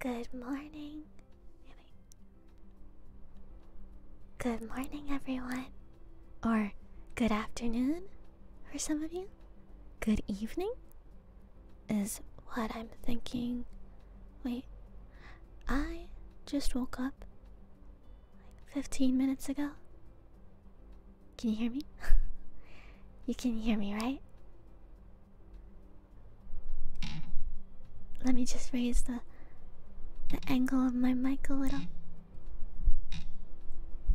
Good morning. Good morning, everyone. Or good afternoon for some of you. Good evening is what I'm thinking. Wait, I just woke up like 15 minutes ago. Can you hear me? you can hear me, right? Let me just raise the the angle of my mic a little.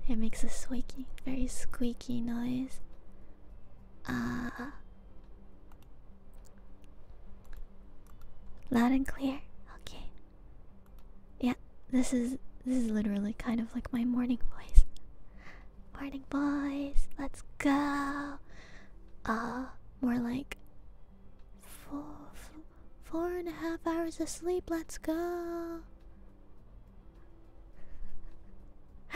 It makes a squeaky, very squeaky noise. Ah. loud and clear. Okay. Yeah, this is this is literally kind of like my morning voice. Morning boys, let's go. Uh, more like four, four and a half hours of sleep. Let's go.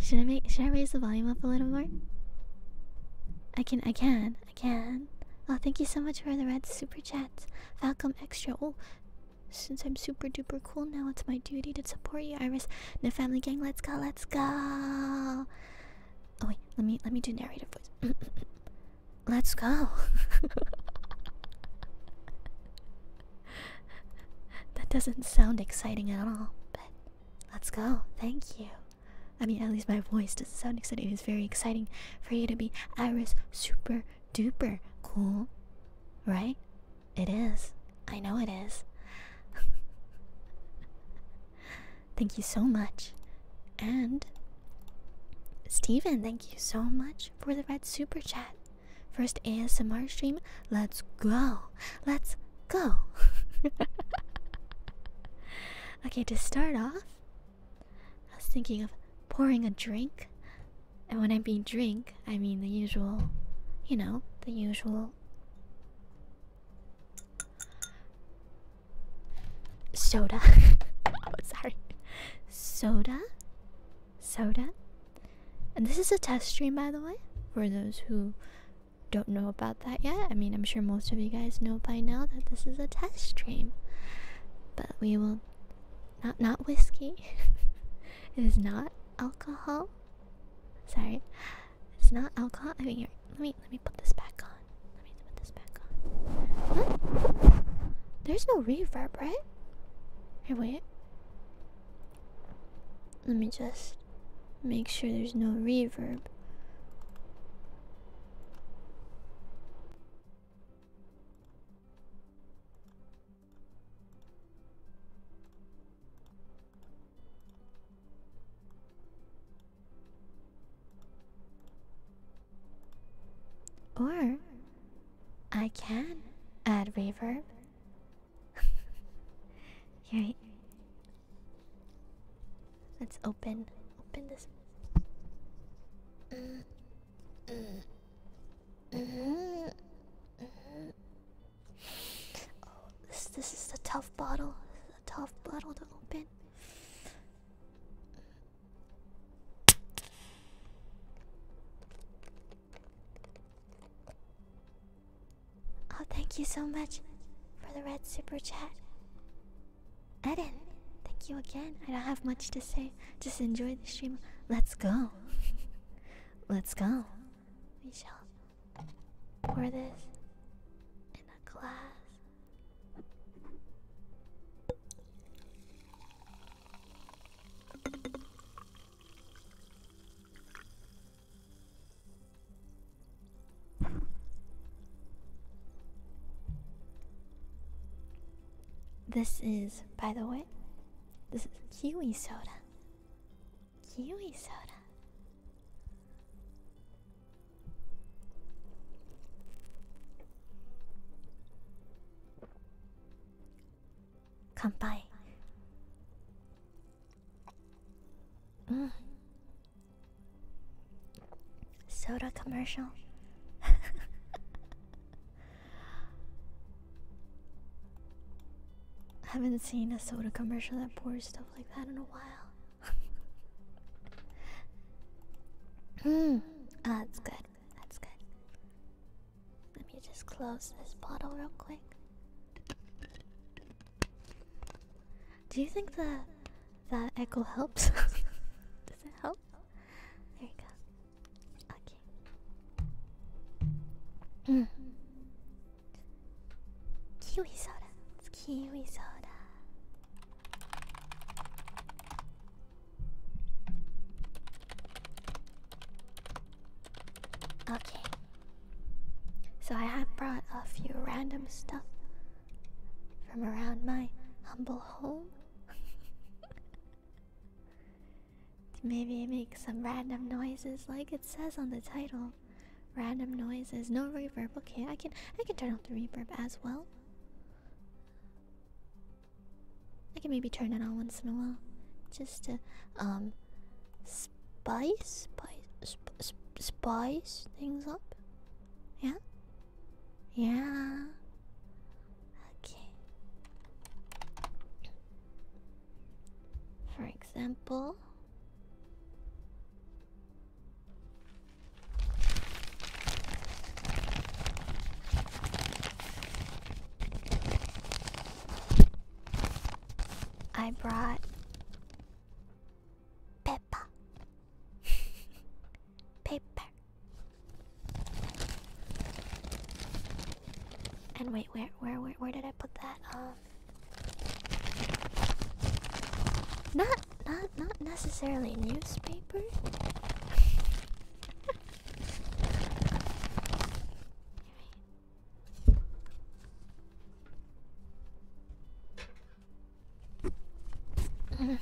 should I make? Should I raise the volume up a little more? I can. I can. I can. Oh, thank you so much for the red super chat. Falcom Extra. Oh, since I'm super duper cool now, it's my duty to support you, Iris. The family gang, let's go, let's go. Oh wait, let me let me do narrative voice. let's go. that doesn't sound exciting at all, but let's go. Thank you. I mean, at least my voice doesn't sound exciting. It's very exciting for you to be Iris Super Duper Cool, right? It is. I know it is. thank you so much. And Steven, thank you so much for the red super chat. First ASMR stream. Let's go. Let's go. okay, to start off, I was thinking of pouring a drink, and when I mean drink, I mean the usual, you know, the usual. Soda. oh, sorry. Soda? Soda? And this is a test stream, by the way, for those who don't know about that yet. I mean, I'm sure most of you guys know by now that this is a test stream but we will not not whiskey. it is not alcohol. Sorry, it's not alcohol. I mean, let me let me put this back on. Let me put this back on. What? There's no reverb, right? Here, wait. Let me just make sure there's no reverb. Or I can add reverb. Here, let's open open this oh, this this is a tough bottle. This is a tough bottle to open. Oh, thank you so much for the red super chat. Eden, thank you again. I don't have much to say. Just enjoy the stream. Let's go. Let's go. We shall pour this in a glass. This is, by the way, this is kiwi soda. Kiwi soda. Kanpai. Mm. Soda commercial. haven't seen a soda commercial that pours stuff like that in a while. Hmm. oh, that's good. That's good. Let me just close this bottle real quick. Do you think that that echo helps? Does it help? There you go. Okay. Mm. Kiwi soda. It's Okay. So I have brought a few random stuff from around my humble home. Maybe make some random noises like it says on the title. Random noises, no reverb. Okay, I can I can turn off the reverb as well. I can maybe turn it on once in a while, just to um spice, spice, spice things up. Yeah, yeah. Okay. For example, I brought Peppa Paper. And wait, where, where, where, where did I put that? Um. Not, not, not necessarily newspaper.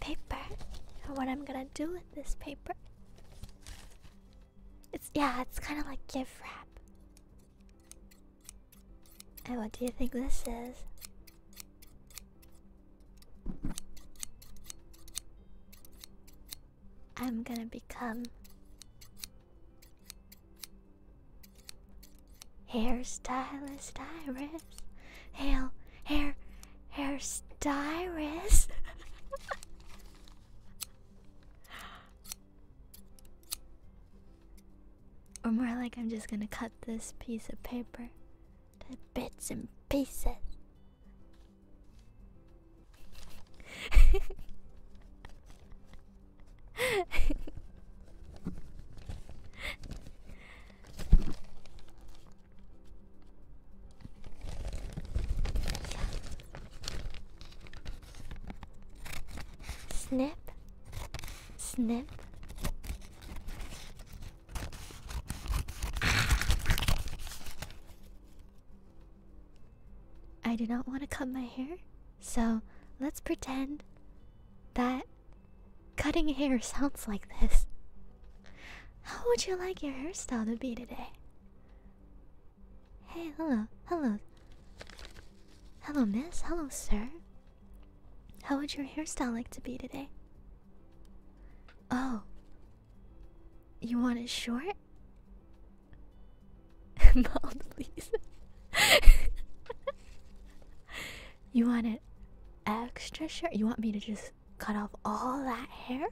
paper and what I'm gonna do with this paper. It's yeah, it's kind of like gift wrap. And what do you think this is? I'm gonna become Hairstylist Iris. hair, hair, hairstylist. or more like I'm just gonna cut this piece of paper to bits and pieces. Snip, snip. I do not want to cut my hair, so let's pretend that Cutting hair sounds like this. How would you like your hairstyle to be today? Hey, hello, hello. Hello, miss. Hello, sir. How would your hairstyle like to be today? Oh. You want it short? Bald, please. You want it extra short? You want me to just cut off all that hair?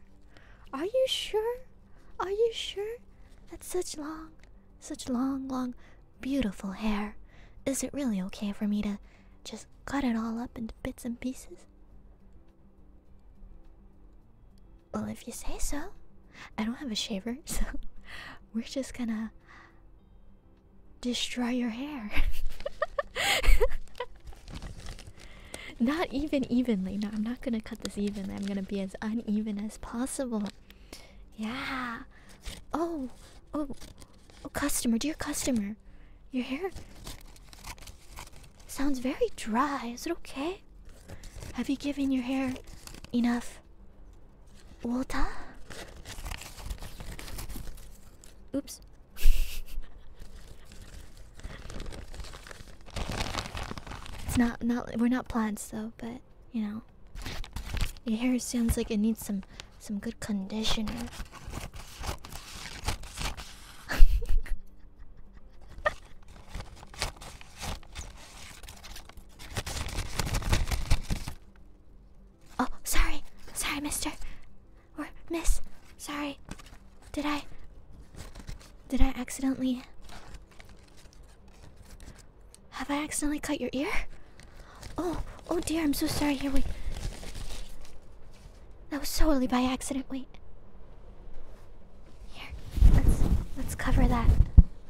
Are you sure? Are you sure? That's such long, such long, long, beautiful hair. Is it really okay for me to just cut it all up into bits and pieces? Well, if you say so. I don't have a shaver, so we're just gonna destroy your hair. not even evenly. No, I'm not gonna cut this evenly. I'm gonna be as uneven as possible. Yeah. Oh, oh, oh, customer, dear customer, your hair sounds very dry. Is it okay? Have you given your hair enough water? Oops. it's not not we're not plants though, but you know. Your hair sounds like it needs some some good conditioner. Oh, sorry. Sorry, mister. Or miss. Sorry. Did I. Did I accidentally. Have I accidentally cut your ear? Oh, oh dear, I'm so sorry. Here, we. That was totally by accident. Wait. Here, let's let's cover that.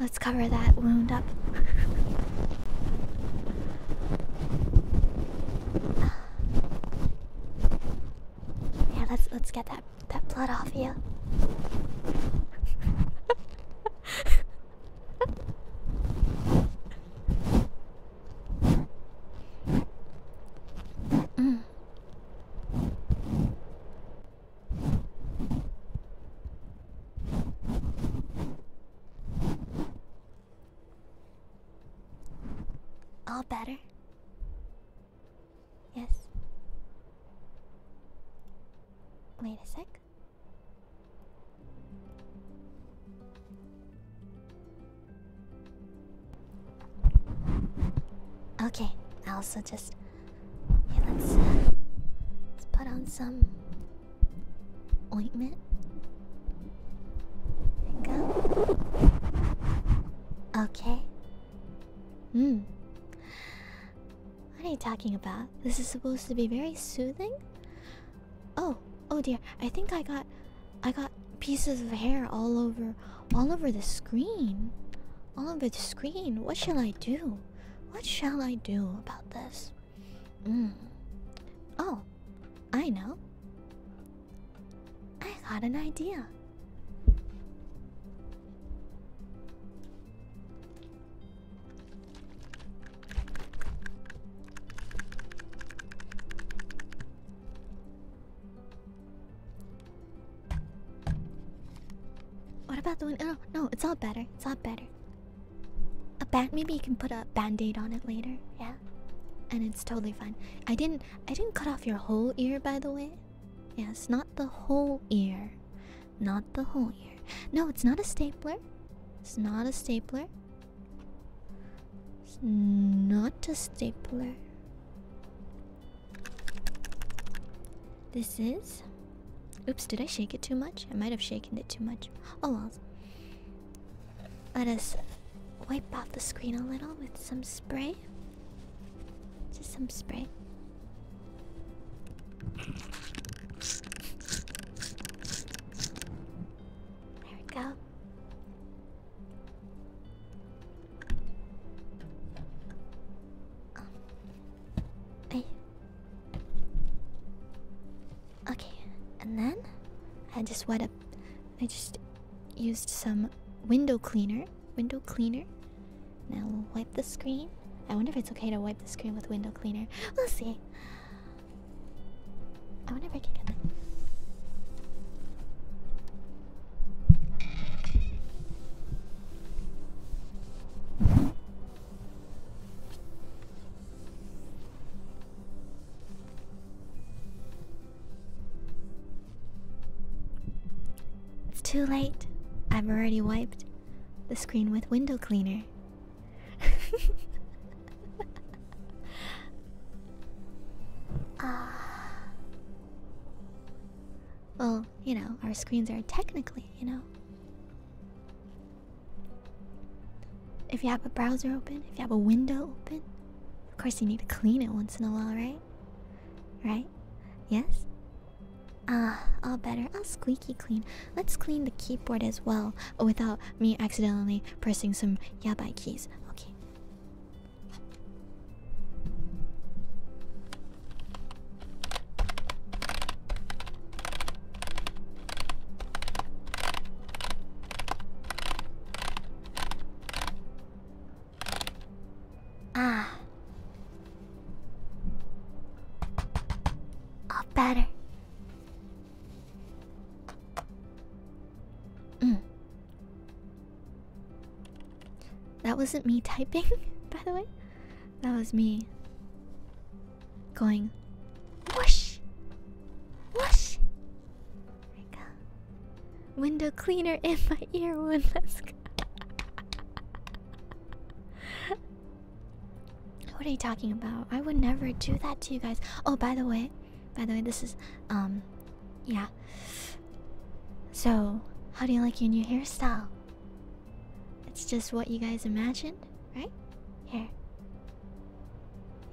Let's cover that wound up. Ah. Yeah, let's let's get that that blood off you. All better? Yes. Wait a sec. Okay, I also just let's let's put on some ointment. Okay. Hmm. What are you talking about? This is supposed to be very soothing? Oh, oh dear. I think I got I got pieces of hair all over all over the screen. All over the screen. What shall I do? What shall I do about this? Hmm. Oh, I know. I got an idea. What about the one? No, oh, no, it's all better. It's all better. A band. Maybe you can put a band aid on it later. Yeah and it's totally fine. I didn't I didn't cut off your whole ear by the way. Yes, not the whole ear. Not the whole ear. No, it's not a stapler. It's not a stapler. It's not a stapler. This is Oops, did I shake it too much? I might have shaken it too much. Oh well. Let us wipe off the screen a little with some spray. Just some spray. There we go. Oh. Okay, and then I just want up. I just used some window cleaner. Window cleaner. Now we'll wipe the screen. I wonder if it's okay to wipe the screen with window cleaner. We'll see. I wonder if I can get it's too late. I've already wiped the screen with window cleaner. uh, well, you know, our screens are technically, you know. If you have a browser open, if you have a window open, of course you need to clean it once in a while, right? Right? Yes? Ah, all better. I'll squeaky clean. Let's clean the keyboard as well without me accidentally pressing some yabai keys. Okay. Ah. All better. Mm. That wasn't me typing, by the way. That was me going whoosh, whoosh. Window cleaner in my ear What are you talking about? I would never do that to you guys. Oh, by the way, by the way, this is um, yeah. So, how do you like your new hairstyle? It's just what you guys imagined, right? Here,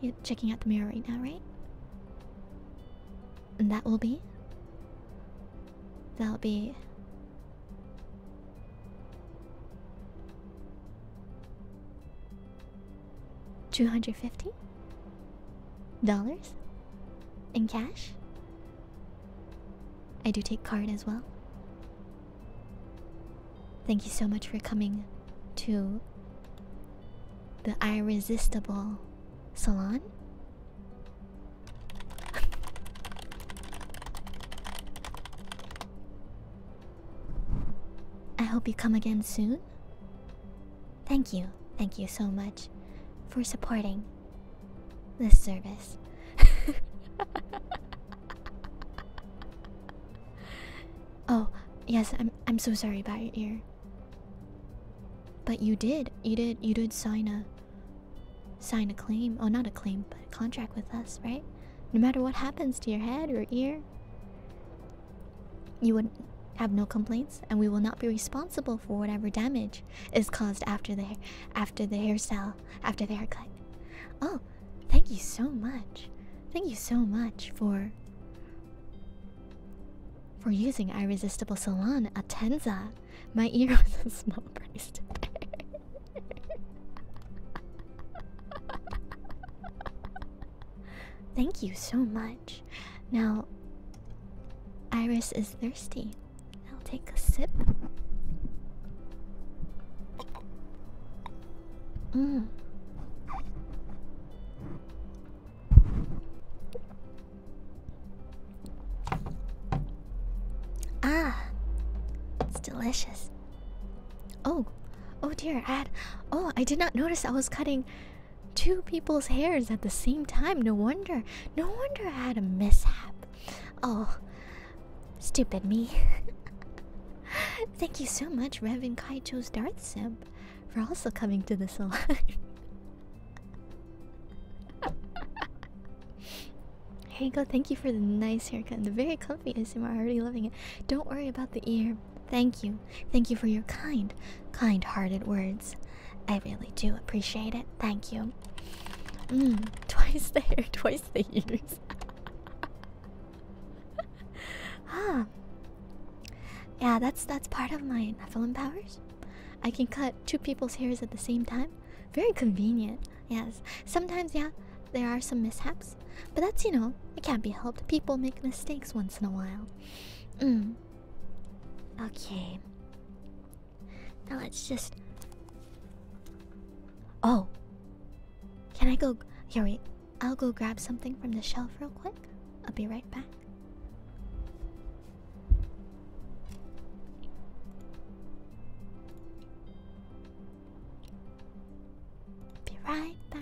you're checking out the mirror right now, right? And that will be? That'll be. Two hundred fifty dollars in cash. I do take card as well. Thank you so much for coming to the irresistible salon? I hope you come again soon. Thank you, thank you so much for supporting this service. oh, yes, I'm I'm so sorry about your ear. But you did. You did. You did sign a sign a claim. Oh, not a claim, but a contract with us, right? No matter what happens to your head or ear, you would have no complaints, and we will not be responsible for whatever damage is caused after the after the hairstyle, after the haircut. Oh, thank you so much. Thank you so much for for using Irresistible Salon, Atenza, My ear was a small price Thank you so much. Now, Iris is thirsty. I'll take a sip. Mmm. Ah, it's delicious. Oh, oh dear, I oh, I did not notice I was cutting two people's hairs at the same time. No wonder, no wonder I had a mishap. Oh, stupid me. Thank you so much, Reverend Kaijo's Darth Simp. We're also coming to the salon. Here you Thank you for the nice haircut and the very comfy ASMR. I'm already loving it. Don't worry about the ear. Thank you. Thank you for your kind, kind hearted words. I really do appreciate it. Thank you. Mm, twice the hair, twice the ears. ah, yeah. that's that's part of my Nephilim powers. I can cut two people's hairs at the same time. Very convenient. Yes. Sometimes yeah, there are some mishaps, but that's, you know, it can't be helped. People make mistakes once in a while. Mm. Okay. Now let's just Oh. Can I go Yeah, wait. I'll go grab something from the shelf real quick. I'll be right back. Be right back.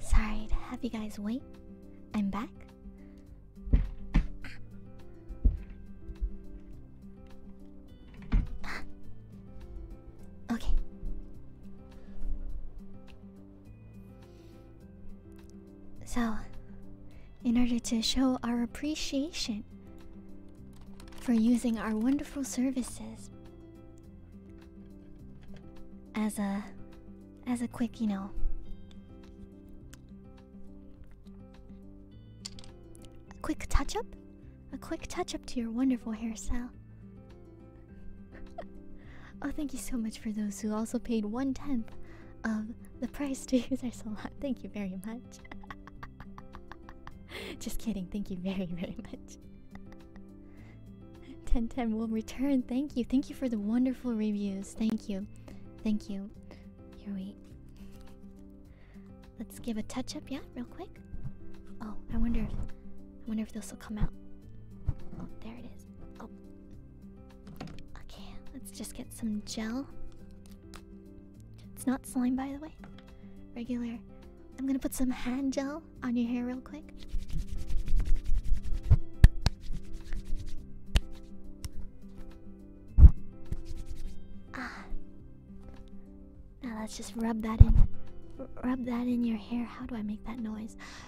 Sorry to have you guys wait. I'm back. okay. So, in order to show our appreciation for using our wonderful services as a as a quick, you know, quick touch up, a quick touch up to your wonderful hairstyle. oh, thank you so much for those who also paid one tenth of the price to use our salon. Thank you very much. Just kidding. Thank you very, very much. 1010 will return. Thank you. Thank you for the wonderful reviews. Thank you. Thank you. Here we. Let's give a touch up, yeah, real quick. Oh, I wonder if I wonder if this will come out. Oh, there it is. Oh, Okay, let's just get some gel. It's not slime, by the way. Regular. I'm gonna put some hand gel on your hair real quick. Ah. Now let's just rub that in. rub that in your hair. How do I make that noise?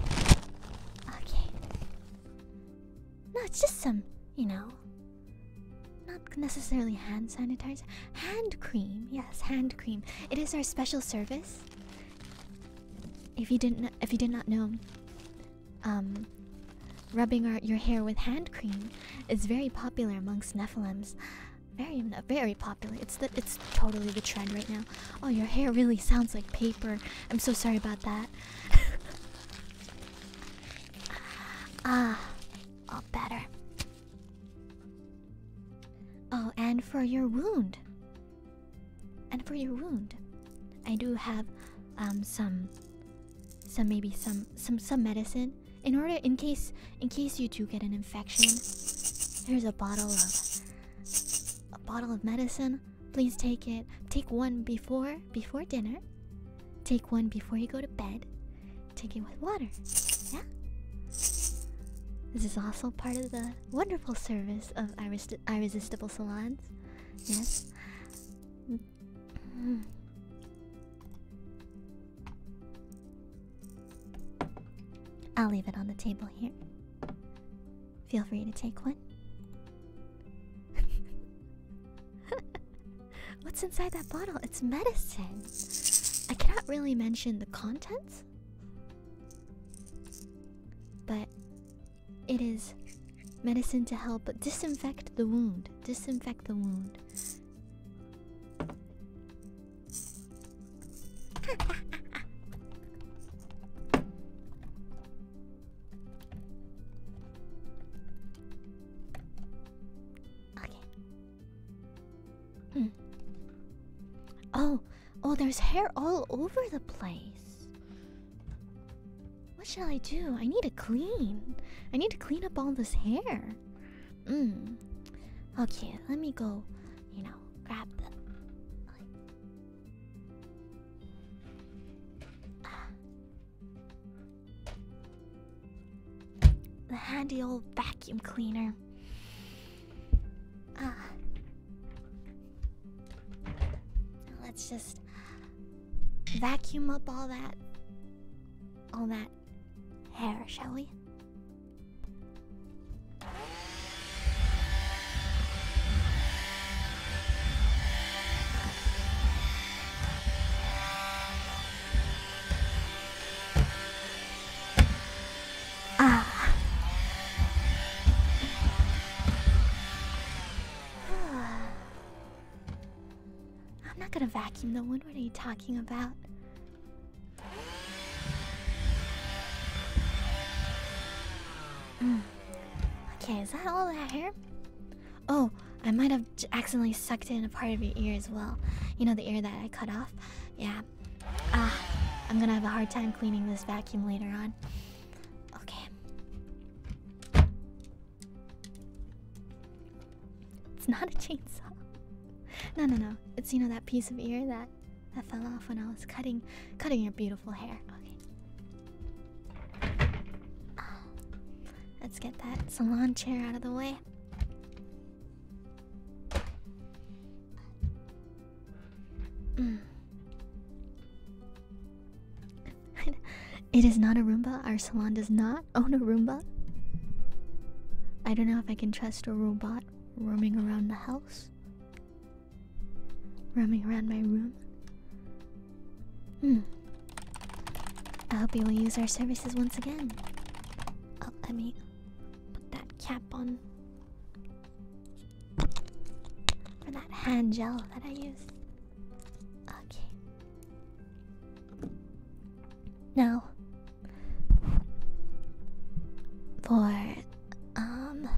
Okay. No, it's just some, you know. Not necessarily hand sanitizer. Hand cream. Yes, hand cream. It is our special service. If you didn't if you did not know, um rubbing your hair with hand cream is very popular amongst Nephilims. Very very popular. It's the it's totally the trend right now. Oh, your hair really sounds like paper. I'm so sorry about that. ah, all better. Oh, and for your wound. And for your wound, I do have um some some maybe some some some medicine in order in case in case you do get an infection. Here's a bottle of a bottle of medicine. Please take it. Take one before before dinner. Take one before you go to bed. Take it with water. Yeah. This is also part of the wonderful service of irresistible salons. Yes. I'll leave it on the table here. Feel free to take one. What's inside that bottle? It's medicine. I cannot really mention the contents, but it is medicine to help disinfect the wound. Disinfect the wound okay. Hmm. Oh, oh, there's hair all over the place. What shall I do? I need to clean. I need to clean up all this hair. Mm. Okay, let me go, you know, grab the. The handy old vacuum cleaner. Ah. Let's just vacuum up all that all that hair, shall we? Ah. I'm not gonna vacuum the wood. What are you talking about? okay, is that all that hair? Oh, I might have accidentally sucked in a part of your ear as well. You know, the ear that I cut off? Yeah. Ah, I'm gonna have a hard time cleaning this vacuum later on. Okay. It's not a chainsaw. No, no, no. It's, you know, that piece of ear that that fell off when I was cutting cutting your beautiful hair. Okay. Ah, let's get that salon chair out of the way. Mm. it is not a Roomba. Our salon does not own a Roomba. I don't know if I can trust a robot roaming around the house roaming around my room. Hmm. I hope you will use our services once again. Oh, let me put that cap on for that hand gel that I use. Okay. Now, for um.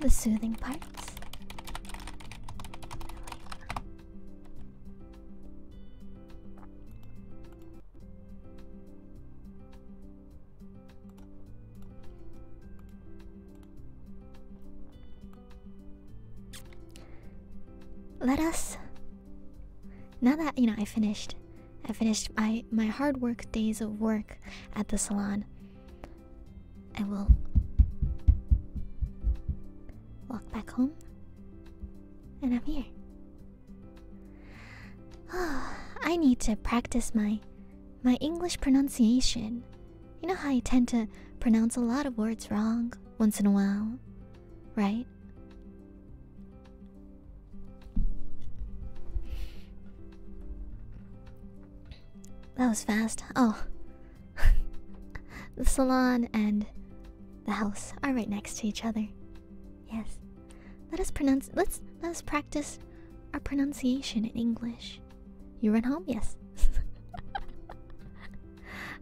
The soothing parts. Let us. Now that you know I finished I finished my my hard work days of work at the salon. I will walk back home, and I'm here. I need to practice my my English pronunciation. You know how I tend to pronounce a lot of words wrong once in a while, right? That was fast. Oh. the salon and the house are right next to each other. Yes. Let us pronounce let's let us practice our pronunciation in English. You run home? Yes.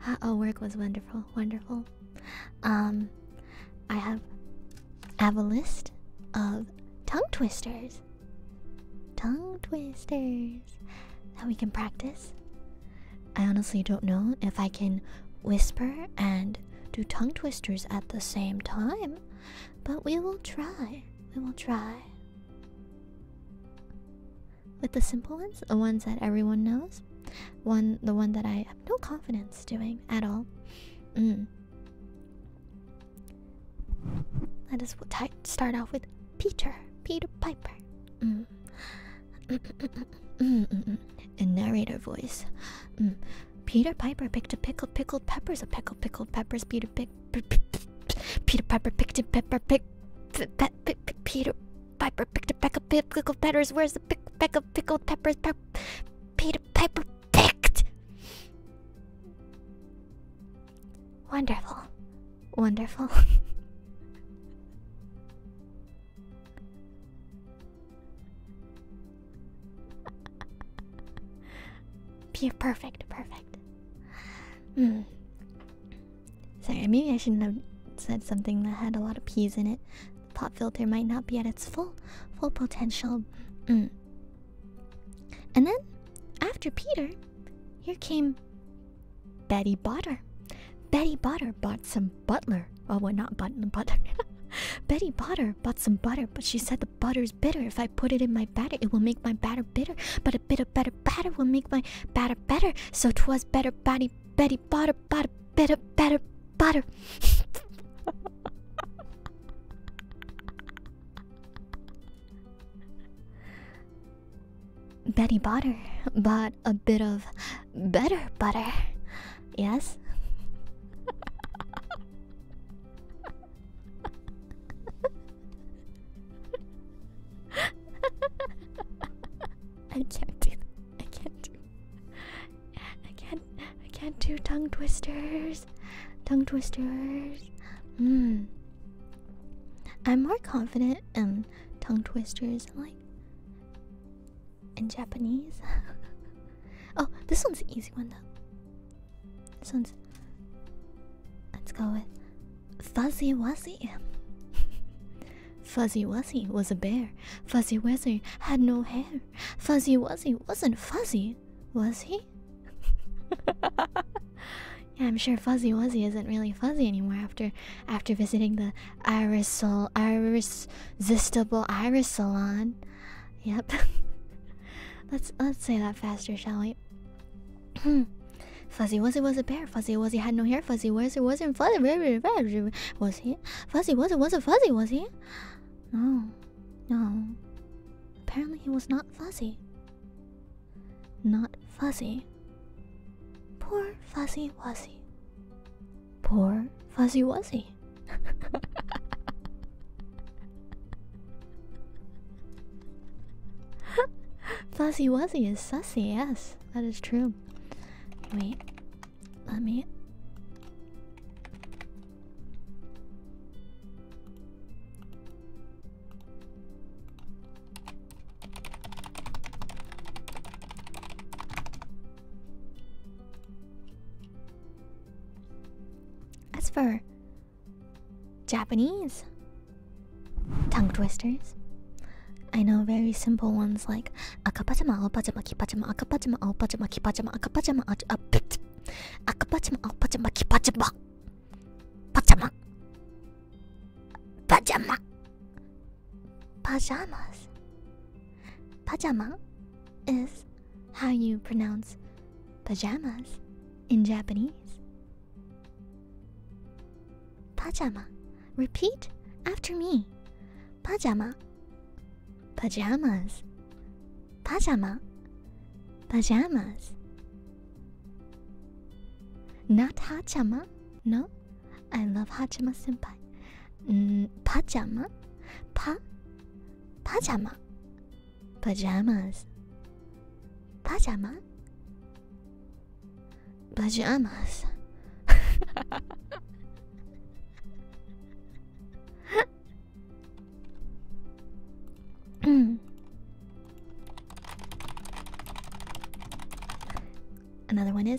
oh work was wonderful, wonderful. Um I have I have a list of tongue twisters. Tongue twisters that we can practice. I honestly don't know if I can whisper and do tongue twisters at the same time, but we will try. We will try. With the simple ones, the ones that everyone knows, one the one that I have no confidence doing at all. Mm. Let us start off with Peter, Peter Piper. Mm. In narrator voice, mm. Peter Piper picked a pickle, pickled peppers, a pickle, pickled peppers. Peter pick, Peter Piper picked a pepper, pick, Peter Piper picked a peck pickled peppers. Where's the pick, pickled peppers? Peter Piper picked. Wonderful. Wonderful. P perfect, perfect. Mm. Sorry, maybe I shouldn't have said something that had a lot of peas in it. The pop filter might not be at its full full potential. Mm. And then, after Peter, here came Betty Butter. Betty Butter bought some butler. Oh, well, not butler, butter. Betty Butter bought some butter, but she said the butter is bitter. If I put it in my batter, it will make my batter bitter. But a bit of better butter will make my batter better. So 'twas better, Betty, Betty Botter, butter, bitter, better, butter. Betty Butter bought a bit of better butter. Yes? I can't do I can't do I can't I can't do tongue twisters. Tongue twisters. Mm. I'm more confident in tongue twisters like in Japanese. oh, this one's an easy one though. This one's let's go with Fuzzy Wuzzy. Fuzzy Wuzzy was a bear. Fuzzy Wuzzy had no hair. Fuzzy Wuzzy wasn't fuzzy, was he? I'm sure Fuzzy Wuzzy isn't really fuzzy anymore after after visiting the irisol iris irresistible iris salon. Yep. let's let's say that faster, shall we? fuzzy Wuzzy was a bear. Fuzzy Wuzzy had no hair. Fuzzy Wuzzy wasn't fuzzy. Was he? Fuzzy Wuzzy was a fuzzy. Was he? No. No. Apparently he was not fuzzy. Not fuzzy. Poor fuzzy wuzzy. Poor fuzzy wuzzy. fuzzy wuzzy is sussy, yes, that is true. Wait, let me as for Japanese tongue twisters, I know very simple ones like akapachama, alpachama, kipachama, akapachama, alpachama, kipachama, akapachama, a bit Akpachamak, akpachamak, pachamak. Pachamak. Pajamak. Pajamas. Pajama is how you pronounce pajamas in Japanese. Pajama. Repeat after me. Pajama. Pajamas. Pajama Pajamas. Not Hachama. No, I love Hachima senpai. Mm, pajama? Pa? Pajama. Pajamas. Pajama? Pajamas. Another oh, n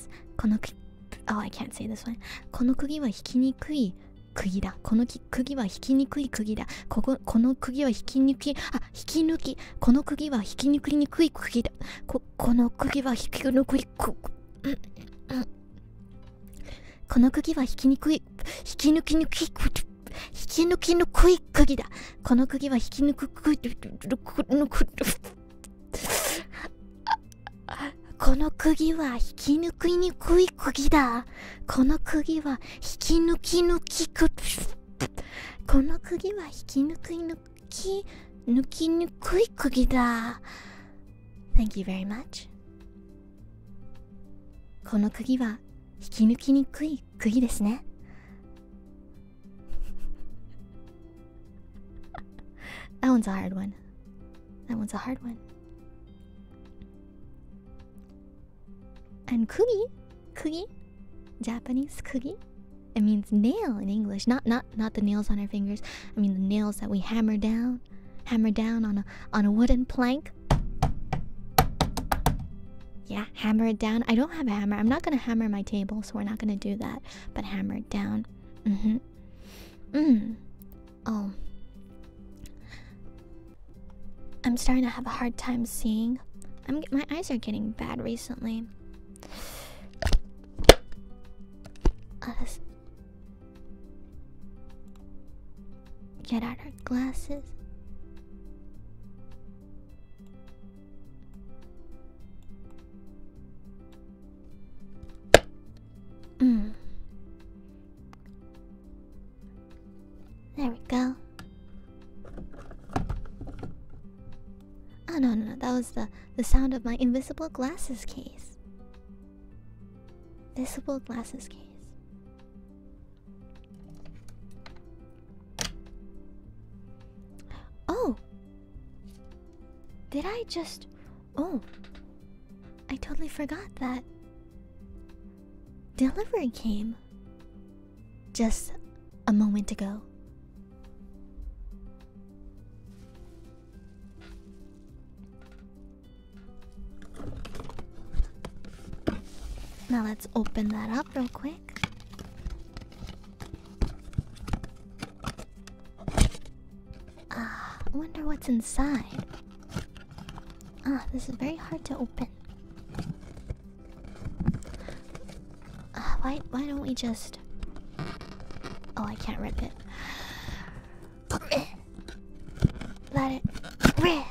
I can't say this one. この釘は引きにくい釘だ。この釘は引きにくい釘だ。こここの釘は引きにくい、あ、引き抜き。この釘は引きにくいにくい釘だ。ここの釘は引き抜くいく。この釘は引きにくい、引き抜きにくい。引き抜きのくい釘だこの釘は引き抜くくいこの釘は引き抜きにくい釘だこの釘は引き抜き抜きくこの釘は引き抜き抜き抜きにくい釘だ Thank you very much この釘は引き抜きにくい釘ですね That one's a hard one. That one's a hard one. And kugi, kugi, Japanese kugi, it means nail in English. Not not not the nails on our fingers. I mean the nails that we hammer down, hammer down on a on a wooden plank. Yeah, hammer it down. I don't have a hammer. I'm not gonna hammer my table, so we're not gonna do that. But hammer it down. Mm-hmm. Mm. Oh. I'm starting to have a hard time seeing. I'm my eyes are getting bad recently. Uh, get out our glasses. Mm. There we go. Oh no, no, no, that was the the sound of my invisible glasses case. Invisible glasses case. Oh! Did I just. Oh! I totally forgot that. Delivery came just a moment ago. Now let's open that up real quick. Ah, wonder what's inside. Ah, this is very hard to open. Ah, why why don't we just Oh, I can't rip it. Let it rip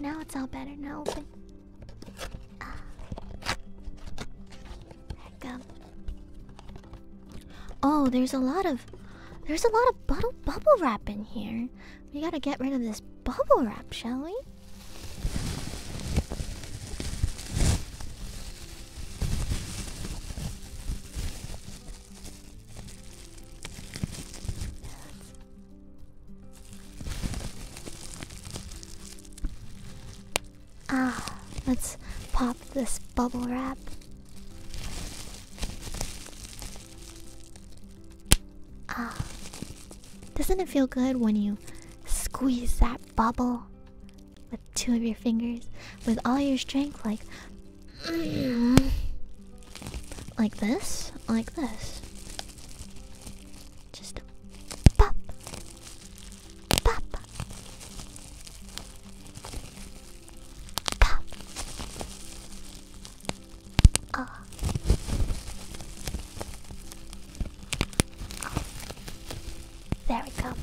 now it's all better. Now open. Ah. Oh, there's a lot of, there's a lot of bubble bubble wrap in here. We gotta get rid of this bubble wrap, shall we? Ah, let's pop this bubble wrap. Ah, doesn't it feel good when you squeeze that bubble? with two of your fingers, with all your strength, like. Like this, like this. Just pop, pop, pop. Ah. There we go.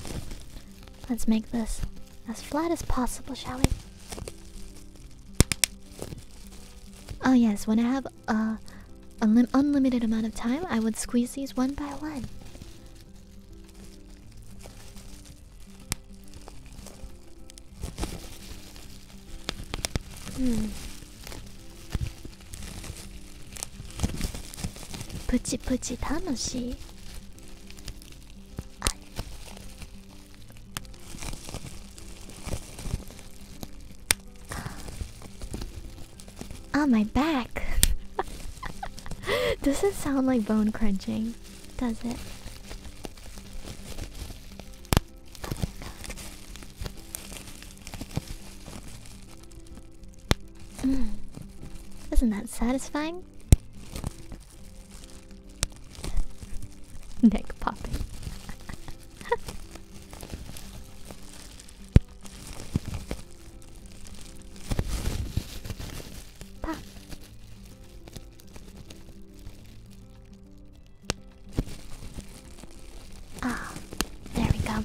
Let's make this as flat as possible, shall we? Oh yes, when I have a, unlimited amount of time, I would squeeze these one by one. Hmm. Puchi puchi tanoshi. Ah, my back. does it sound like bone crunching, does it? Hmm. not that satisfying? Neck popping. Pop. Ah, there we go.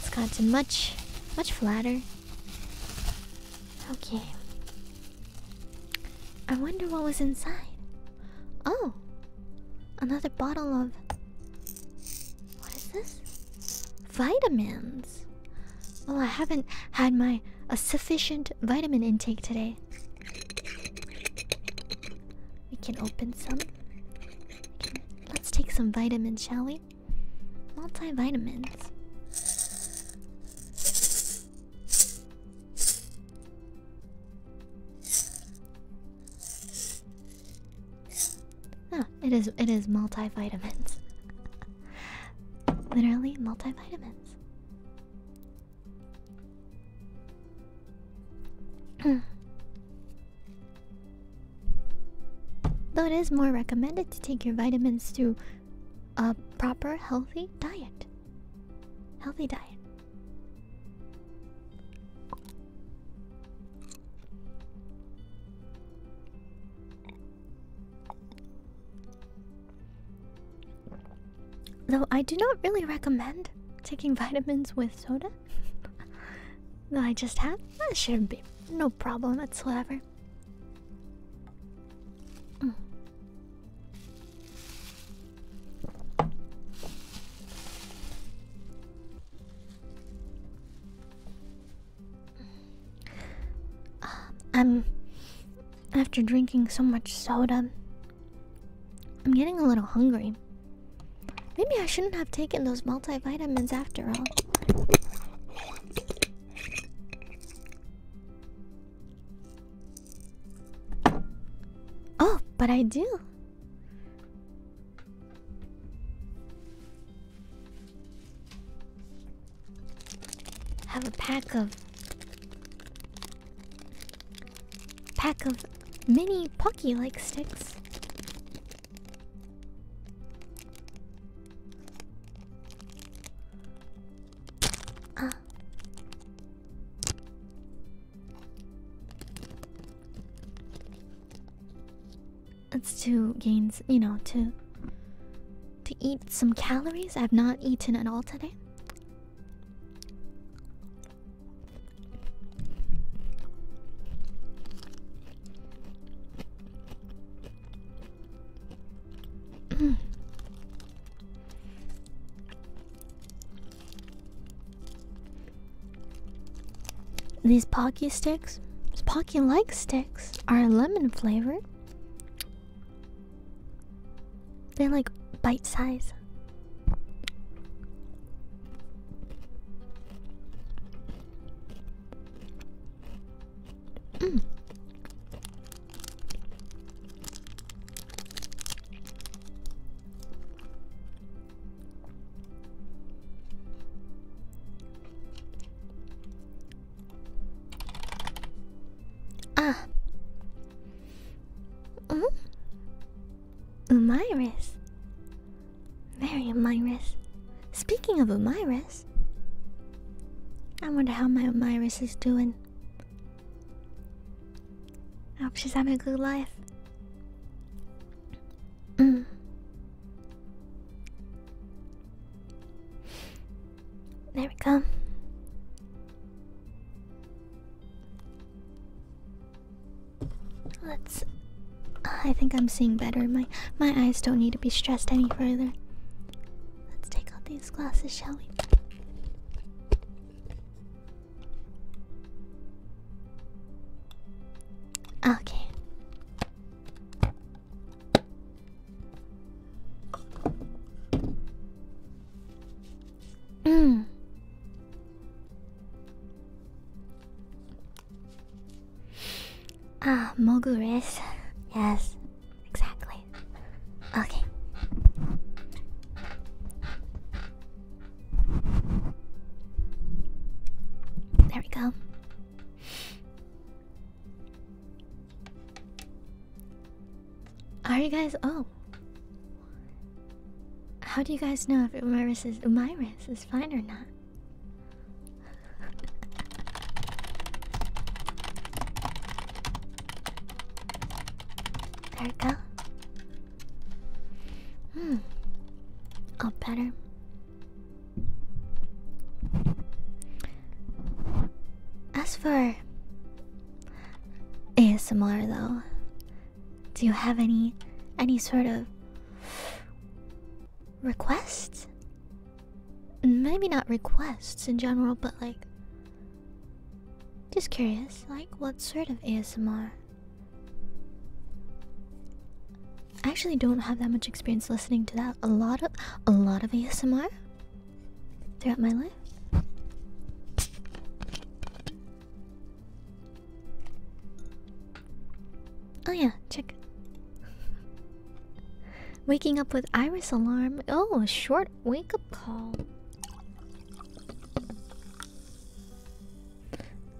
It's gotten much, much flatter. Okay. I wonder what was inside. Oh! Another bottle of. What is this? Vitamins! Well, oh, I haven't had my a sufficient vitamin intake today. We can open some. let's take some vitamins, shall we? Multivitamins. Oh, it is it is multivitamins. Literally multivitamins. Though it is more recommended to take your vitamins too a proper healthy diet. Healthy diet. Though I do not really recommend taking vitamins with soda. Though I just have, that should be no problem whatsoever here. I'm mm. um, after drinking so much soda. I'm getting a little hungry. Maybe I shouldn't have taken those multivitamins after all. Oh, but I do. Have a pack of pack of mini Pocky like sticks. Ah. It's to gain, you know, to to eat some calories. I've not eaten at all today. These Pocky sticks, Pocky like sticks, are lemon flavored. They're like bite size. Ah. Mm? Mm-hmm. Umiris. Very Umiris. Speaking of Umiris, I wonder how my um, Iris is doing. I hope she's having a good life. Mm. There we go. Let's. I think I'm seeing better. My my eyes don't need to be stressed any further. Let's take out these glasses, shall we? Okay. Mm. Ah, Mogures. Yes, Exactly. Okay. There we go. Are you guys? Oh. How do you guys know if Umaris is Umaris is fine or not? There we go. Hmm. All better. As for ASMR though, do you have any any sort of requests Maybe not requests in general, but like. Just curious, like what sort of ASMR? I actually don't have that much experience listening to that. A lot of a lot of ASMR throughout my life. Oh yeah, check. Waking up with iris alarm. Oh, a short wake up call.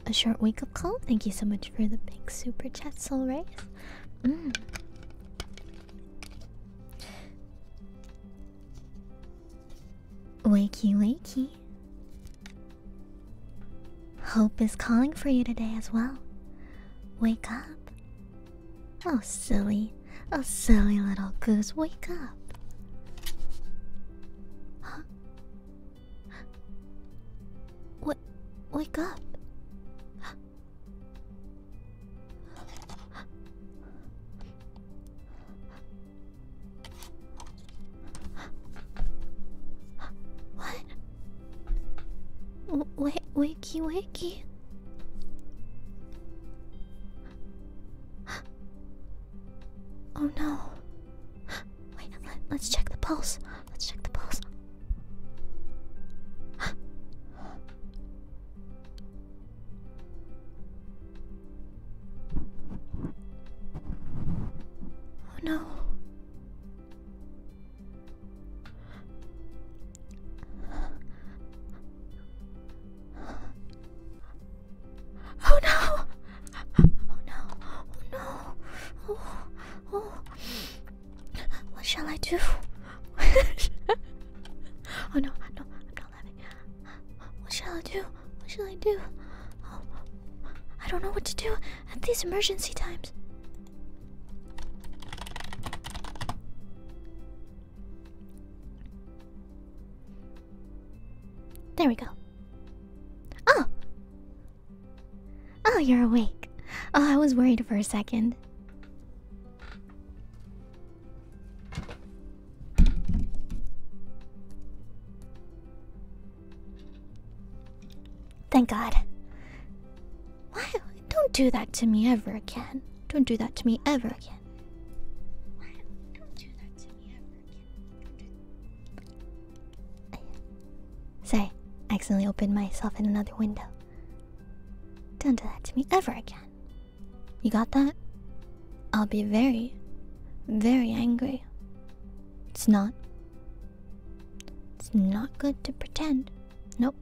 A short wake up call. Thank you so much for the big super chat, Soul Race. Mm. Wakey, wakey. Hope is calling for you today as well. Wake up. Oh, silly. Oh, silly little goose, wake up. Huh? What? Wake up. What? Wait, wait, wakey wakey. Oh no. Wait, let, us check the pulse. Let's check the pulse. Oh no. Oh no! Oh no! Oh no! Oh, oh. What shall I do? oh no! No, I'm What shall I do? What shall I do? Oh, I don't know what to do at these emergency times. There we go. Oh! Oh, you're awake. Oh, I was worried for a second. Thank God. Why don't do that to me ever again. Don't do that to me ever again. Say, I accidentally opened myself in another window. Don't do that to me ever again. You got that? I'll be very, very angry. It's not. It's not good to pretend. Nope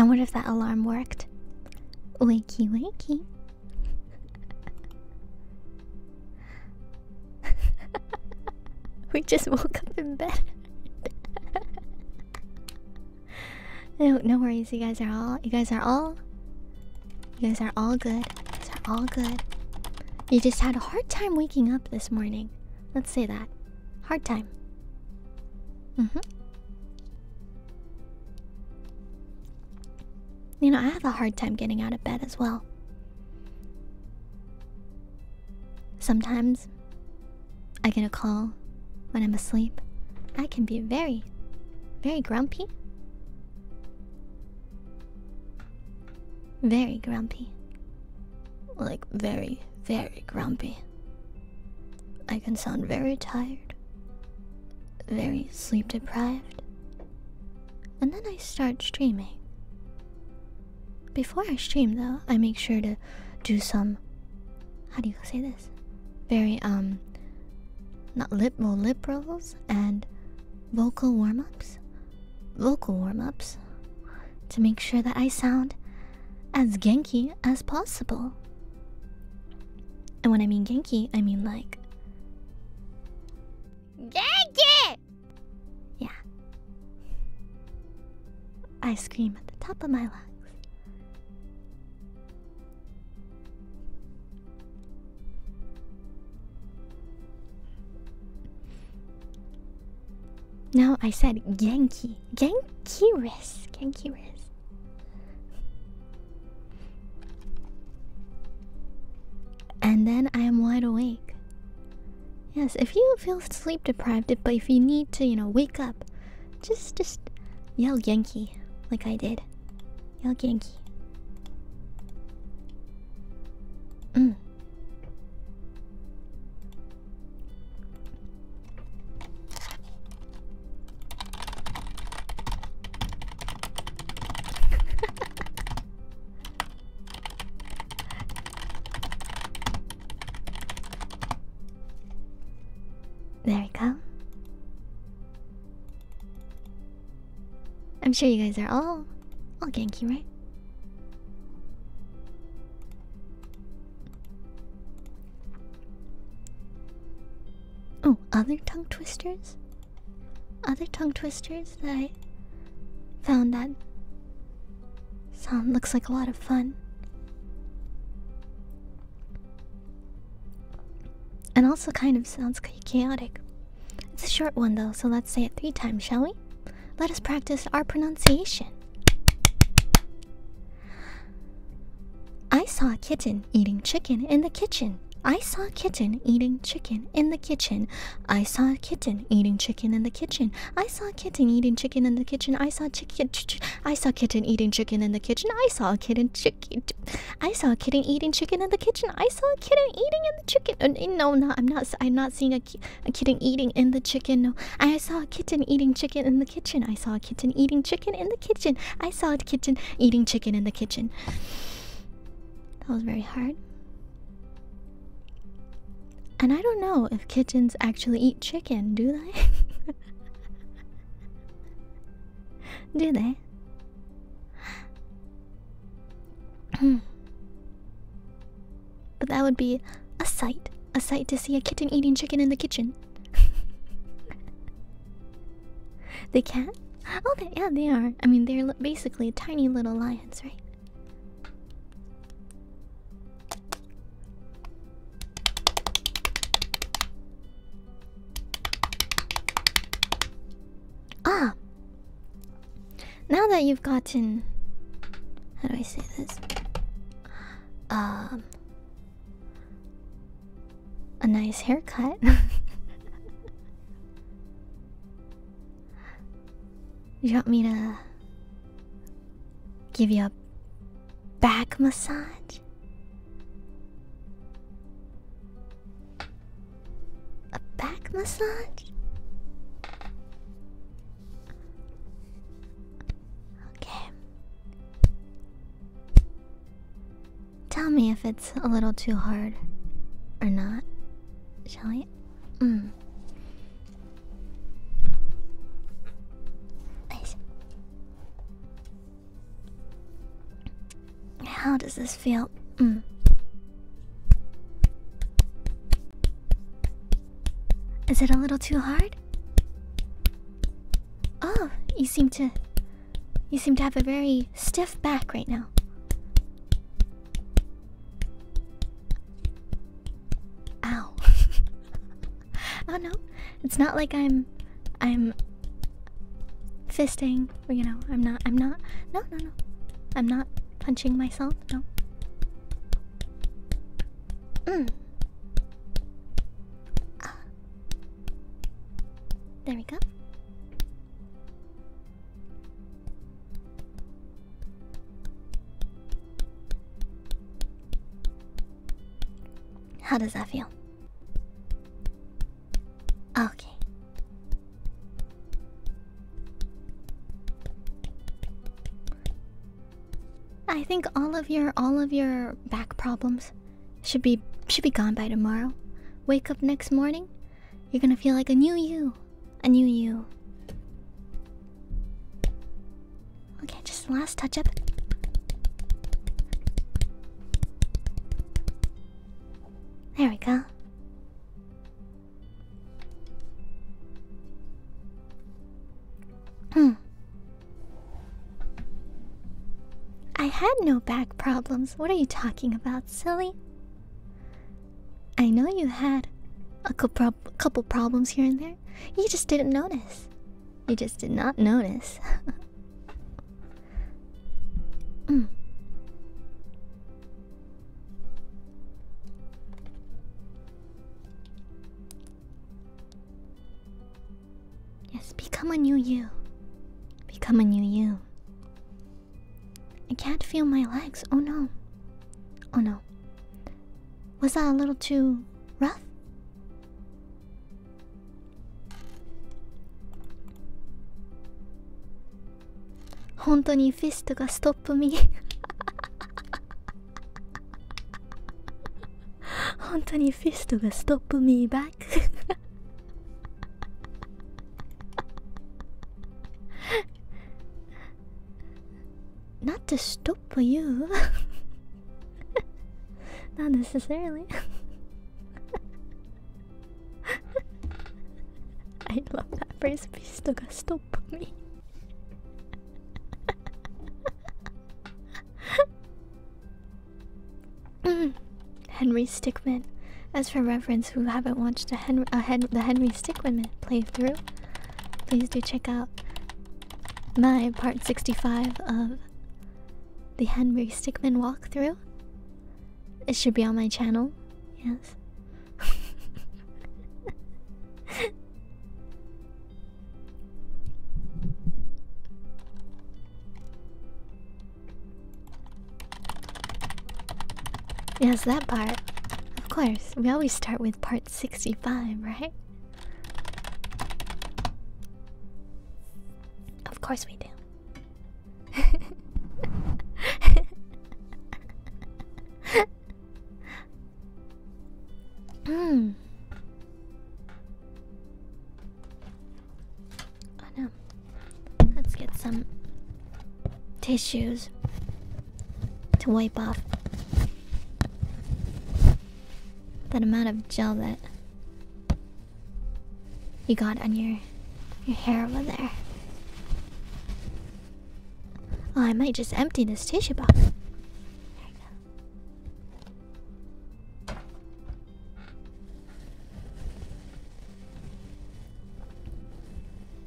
and what if that alarm worked? Wakey, wakey we just woke up in bed. no, no worries. You guys are all. You guys are all. You guys are all good. You are all good. You just had a hard time waking up this morning. Let's say that. Hard time. Mm hmm. You know, I have a hard time getting out of bed as well. Sometimes I get a call when I'm asleep. I can be very, very grumpy. Very grumpy. Like, very, very grumpy. I can sound very tired, very sleep deprived, and then I start streaming. Before I stream though, I make sure to do some how do you say this? Very um not lip lip rolls and vocal warm-ups. Vocal warm-ups to make sure that I sound as genki as possible. And when I mean genki, I mean like Genki! Yeah. I scream at the top of my lungs. Now I said Genki. Genki Riz, Genki Riz, And then I am wide awake. Yes, if you feel sleep deprived, but if you need to, you know, wake up, just just yell Yankee like I did. Yell Yankee. Mm. There we go. I'm sure you guys are all all Genki, right? Oh, other tongue twisters? Other tongue twisters that I found that Sounds like a lot of fun. And also kind of sounds chaotic. It's a short one though, so let's say it three times, shall we? Let us practice our pronunciation. I saw a kitten eating chicken in the kitchen. I saw a kitten eating chicken in the kitchen. I saw a kitten eating chicken in the kitchen. I saw saw a kitten eating chicken in the kitchen. I saw chicken. Ch ch I saw kitten eating chicken in the kitchen. I saw a kitten chicken. I saw a kitten eating chicken in the kitchen. I saw a kitten eating in the chicken. Uh, no, no, I'm not. I'm not seeing a, ki a kitten eating in the chicken. No, I saw a kitten eating chicken in the kitchen. I saw a kitten eating chicken in the kitchen. I saw a kitten eating chicken in the kitchen. That was very hard. And I don't know if kittens actually eat chicken, do they? do they? but that would be a sight. A sight to see a kitten eating chicken in the kitchen. they can? Oh, yeah, they are. I mean, they're basically tiny little lions, right? Ah! Now that you've gotten. How do I say this? Um. A nice haircut. You want me to give you a back massage? A back massage? Okay. Tell me if it's a little too hard or not, shall we? Mm. How does this feel? Mm. Is it a little too hard? Oh, you seem to you seem to have a very stiff back right now. Ow. oh no. It's not like I'm I'm fisting, you know, I'm not I'm not no no no. I'm not punching myself, no. Mm. Ah. There we go. How does that feel? Okay. I think all of your all of your back problems should be should be gone by tomorrow. Wake up next morning, you're gonna feel like a new you. I knew you. Okay, just last touch up. There we go. Hmm. I had no back problems. What are you talking about, silly? I know you had a couple problems here and there. You just didn't notice. You just did not notice. Mm. Yes, become a new you. Become a new you. I can't feel my legs. Oh no. Oh no. Was that a little too rough? Hontoni fist ga stop me. Hontoni fist ga stop me back. not to stop you. not necessarily. I love that phrase. Please do stop me. Henry Stickmin. As for reference, who haven't watched the Henry Stickmin playthrough, please do check out my part 65 of the Henry Stickmin walkthrough. It should be on my channel, yes. yes, that part. Of course, we always start with part 65, right? Of course we do. mm. Oh no. Let's get some tissues to wipe off that amount of gel that you got on your your hair over there. Oh, I might just empty this tissue box.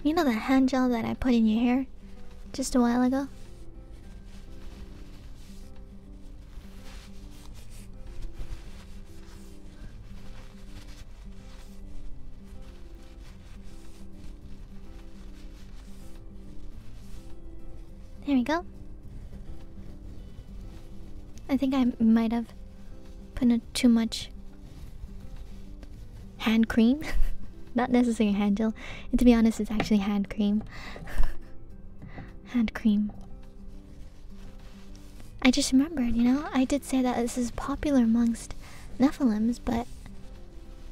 You know the hand gel that I put in your hair just a while ago? There we go. I think I might have put in too much hand cream. Not necessarily hand gel. And to be honest, it's actually hand cream. hand cream. I just remembered, you know, I did say that this is popular amongst Nephilims, but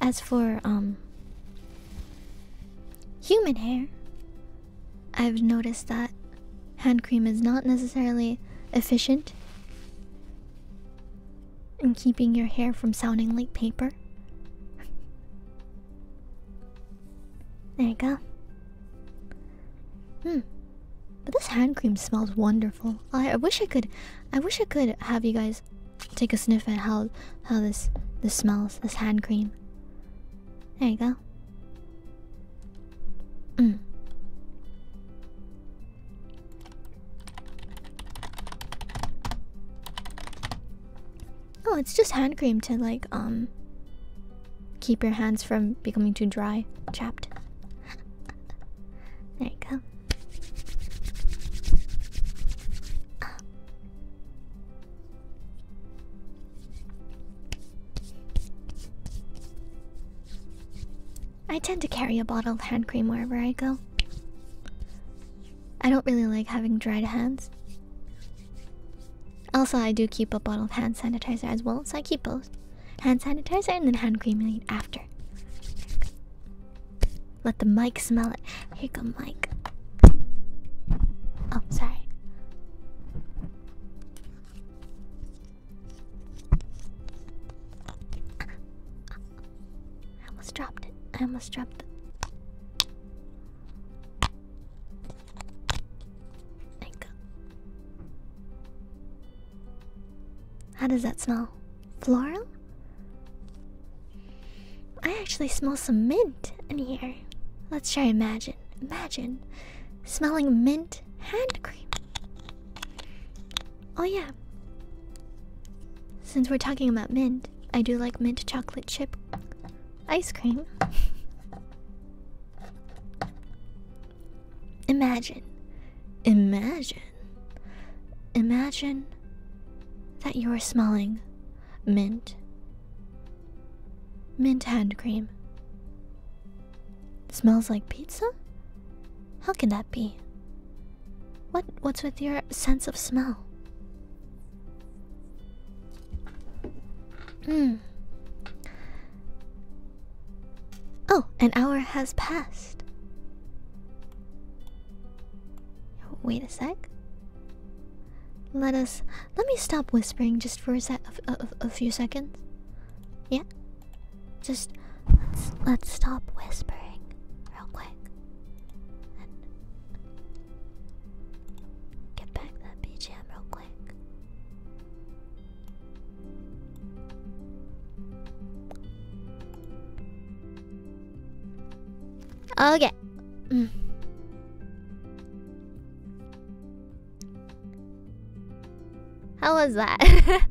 as for um human hair, I've noticed that hand cream is not necessarily efficient and keeping your hair from sounding like paper. there you go. Hmm. But this hand cream smells wonderful. I, I wish I could I wish I could have you guys take a sniff at how how this this smells, this hand cream. There you go. Mm. Oh, it's just hand cream to like um keep your hands from becoming too dry, chapped. there you go. I tend to carry a bottle of hand cream wherever I go. I don't really like having dried hands. Also, I do keep a bottle of hand sanitizer as well, so I keep both hand sanitizer and then hand cream after. Let the mic smell it. Here go mic. am oh, sorry. I almost dropped it. I almost dropped it. There How does that smell? Floral? I actually smell some mint in here. Let's try imagine. Imagine smelling mint hand cream. Oh, yeah. Since we're talking about mint, I do like mint chocolate chip ice cream. imagine, imagine, imagine that you are smelling mint, mint hand cream. Smells like pizza? How can that be? What what's with your sense of smell? Hmm. Oh, an hour has passed. Wait a sec. Let us let me stop whispering just for a sec a, few seconds. Yeah. Just let's let's stop whispering real quick. Get back that BGM real quick. Okay. Mm. How was that?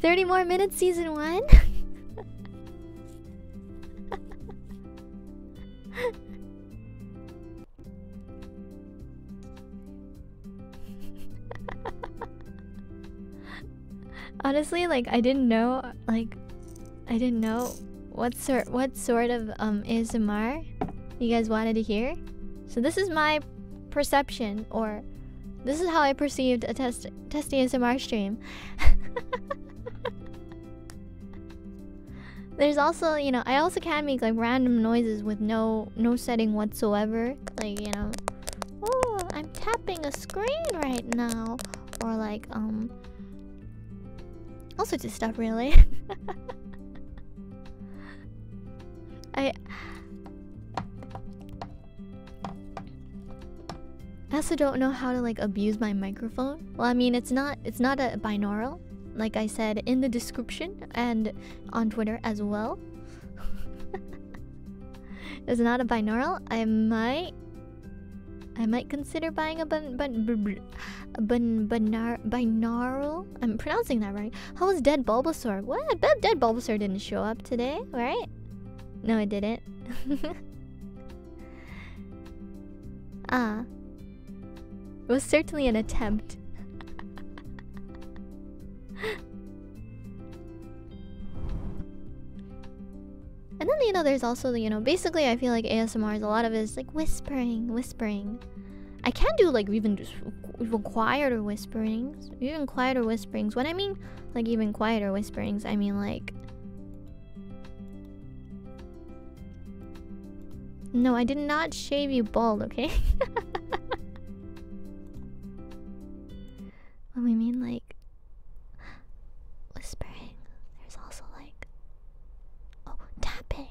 30 more minutes, season one? Honestly, like I didn't know, like I didn't know what sort what sort of um ASMR you guys wanted to hear. So this is my perception or this is how I perceived a test test ASMR stream. There's also, you know, I also can make like random noises with no no setting whatsoever. Like, you know, oh, I'm tapping a screen right now or like um all sorts of stuff really. I I also don't know how to like abuse my microphone. Well, I mean, it's not it's not a binaural, like I said in the description and on Twitter as well. it's not a binaural. I might I might consider buying a bin, bin, bin, bin, binar, binaural. I'm pronouncing that right. How was Dead Bulbasaur? What? I bet Dead Bulbasaur didn't show up today, right? No, I didn't. ah. It was certainly an attempt. and then, you know, there's also the, you know, basically I feel like ASMR is a lot of it is like whispering, whispering. I can do like even just required or whispering even quieter whisperings. What I mean like even quieter whisperings, I mean like. No, I did not shave you bald, okay? when we mean like whispering, there's also like. Oh, tapping!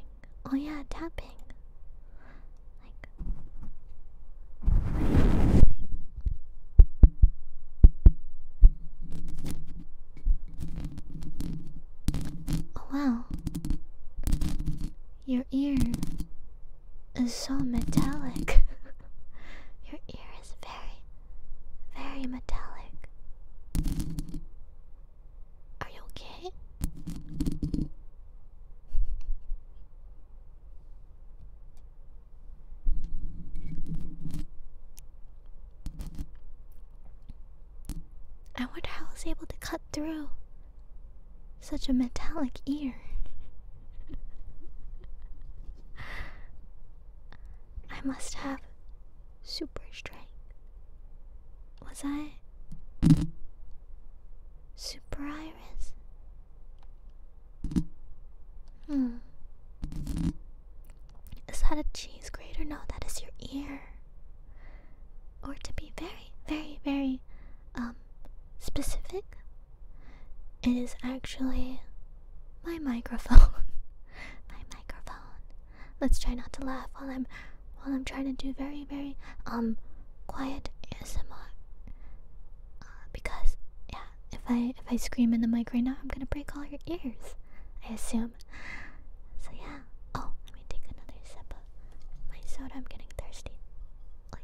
Oh, yeah, tapping. Like. Oh wow. Your ear is so metallic. Your ear is very, very metallic. Are you okay? I wonder how I was able to cut through such a metallic ear. I must have super strength. Was I super iron? Hmm. Is that a cheese grater? No, that is your ear. Or to be very, very, very um, specific, it is actually my microphone. my microphone. Let's try not to laugh while I'm while I'm trying to do very, very um quiet ASMR because yeah, if I if I scream in the mic right now, I'm gonna break all your ears. I assume. So yeah. Oh, let me take another sip of my soda. I'm getting thirsty. Like.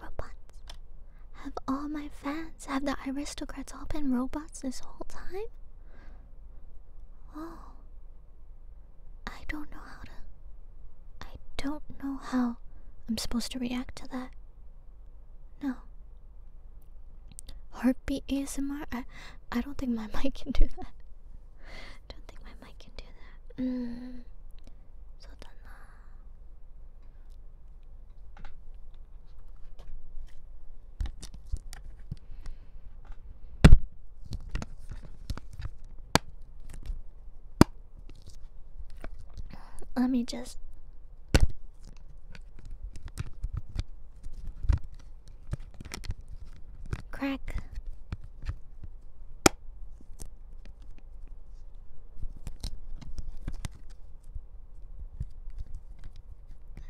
Robots? Have all my fans, have the aristocrats all been robots this whole time? Oh. I don't know how to. I don't know how I'm supposed to react to that. No. Heartbeat ASMR? I, I don't think my mic can do that. don't think my mic can do that. Mm. Uh, let me just. Crack.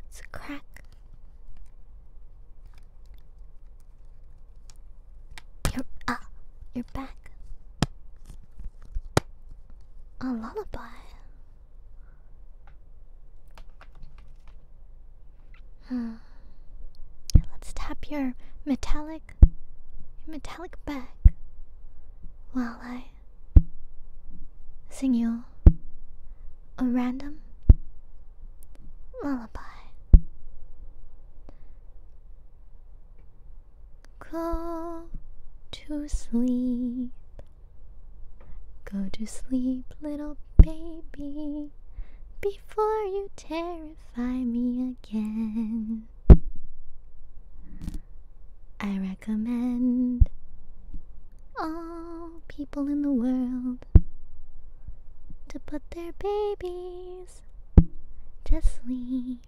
Let's crack. You're ah, you're back. A lullaby. Hmm. Let's tap your metallic metallic, metallic back, while I sing you a random lullaby. Go to sleep. Go to sleep, little baby, before you terrify me again. I recommend all people in the world to put their babies to sleep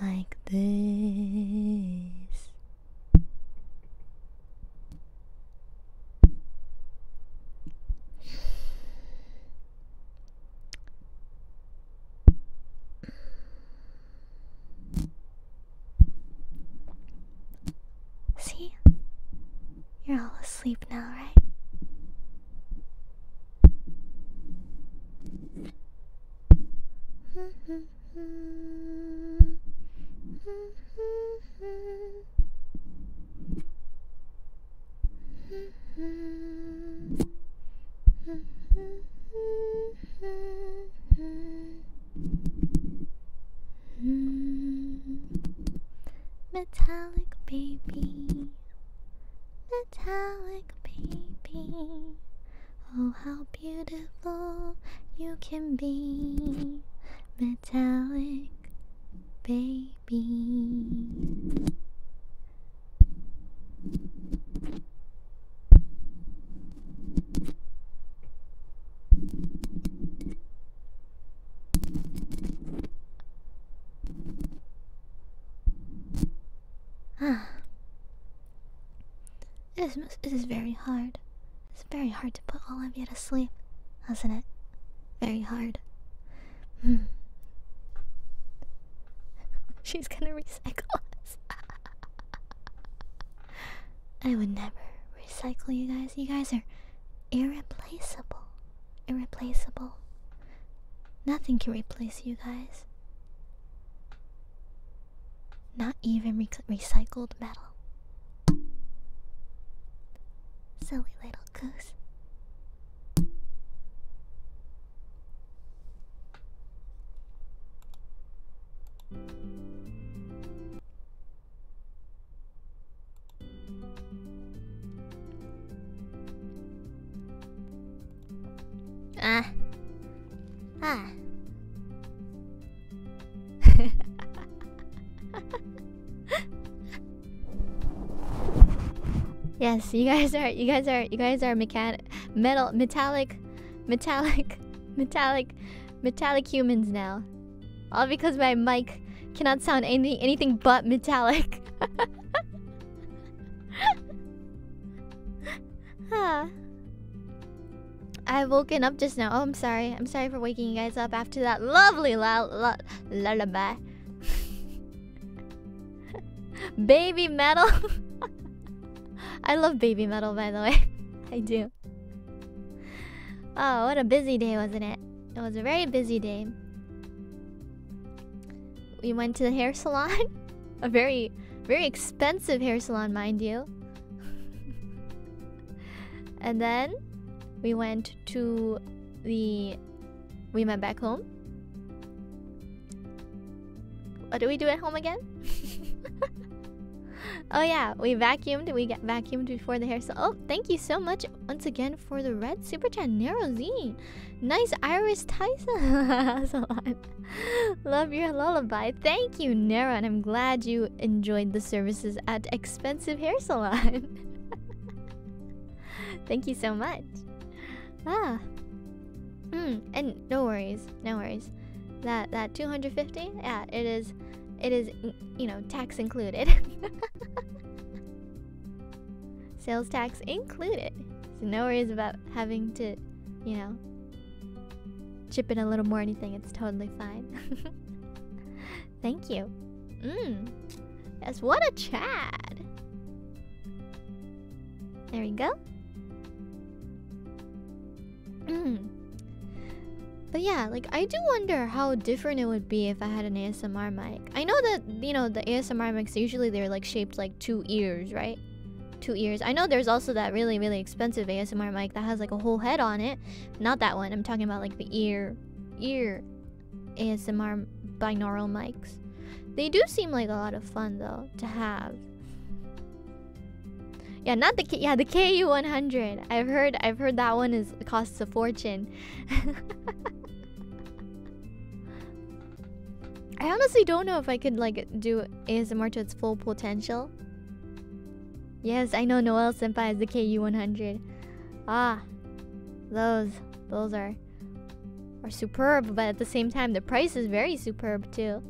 like this. See? You're all asleep now, right? Metallic baby, metallic baby. Oh, how beautiful you can be, metallic baby. Ah. It is, it is very hard. It's very hard to put all of you to sleep, isn't it? Very hard. Hmm. She's gonna recycle us. I would never recycle you guys. You guys are irreplaceable. Irreplaceable. Nothing can replace you guys. Not even recycled metal. Silly little goose. Ah. Ah. yes, you guys are you guys are you guys are mechan metal metallic metallic metallic metallic humans now. All because my mic cannot sound any anything but metallic. huh. I've woken up just now. Oh, I'm sorry. I'm sorry for waking you guys up after that lovely la la la la lullaby. baby metal. I love baby metal, by the way. I do. Oh, what a busy day, wasn't it? It was a very busy day. We went to the hair salon. a very, very expensive hair salon, mind you. and then we went to the. We went back home. What do we do at home again? oh yeah, we vacuumed. We get vacuumed before the hair. salon. oh, thank you so much once again for the red super chat, Nero Z. Nice Iris Tyson. Love your lullaby. Thank you, Nero, and I'm glad you enjoyed the services at expensive hair salon. thank you so much. Ah. Mm, and no worries, no worries. That that 250, yeah, it is, it is, you know, tax included. Sales tax included. So no worries about having to, you know, chip in a little more anything. It's totally fine. Thank you. Mmm. Yes, what a Chad. There we go. Hmm. But yeah, like I do wonder how different it would be if I had an ASMR mic. I know that, you know, the ASMR mics usually they're like shaped like two ears, right? Two ears. I know there's also that really, really expensive ASMR mic that has like a whole head on it. Not that one. I'm talking about like the ear, ear ASMR binaural mics. They do seem like a lot of fun though to have. Yeah, not the K yeah, the KU 100. I've heard I've heard that one is costs a fortune. I honestly don't know if I could like do ASMR to its full potential. Yes, I know Noel Senpai is the KU 100. Ah, those those are are superb, but at the same time, the price is very superb too.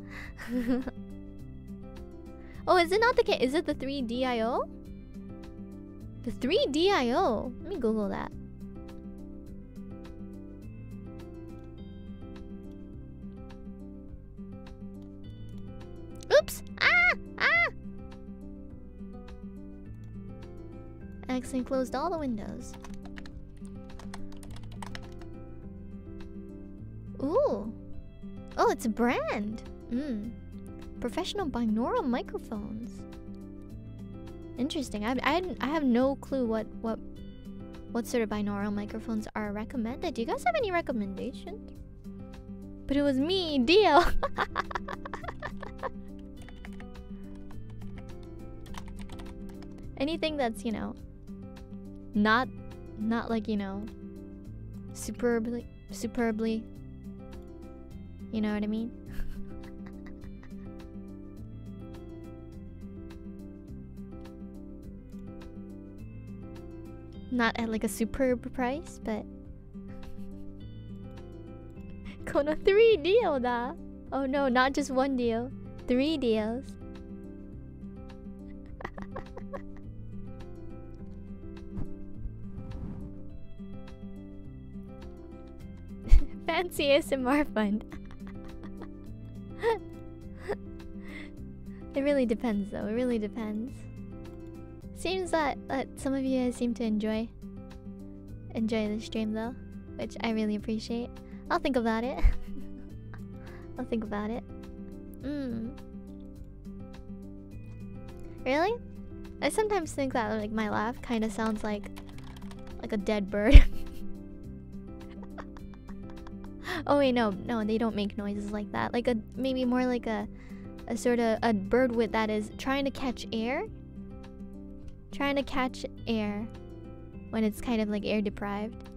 oh, is it not the case? Is it the 3DIO? The 3DIO? Let me Google that. Oops! Ah! Ah! X enclosed all the windows. Ooh. Oh, it's a brand. Mm. Professional binaural microphones. Interesting. I, I I have no clue what what what sort of binaural microphones are recommended. Do you guys have any recommendations? But it was me, Deal. Anything that's, you know, not not like, you know, superbly superbly. You know what I mean? not at like a superb price, but この3 deal だ Oh no, not just one deal. Three deals. Fancy ASMR fund. it really depends, though. It really depends. Seems that that some of you guys seem to enjoy enjoy the stream, though, which I really appreciate. I'll think about it. I'll think about it. Mm. Really? I sometimes think that like my laugh kind of sounds like like a dead bird. oh wait, no, no, they don't make noises like that. Like a maybe more like a a sort of a bird with that is trying to catch air. Trying to catch air when it's kind of like air deprived.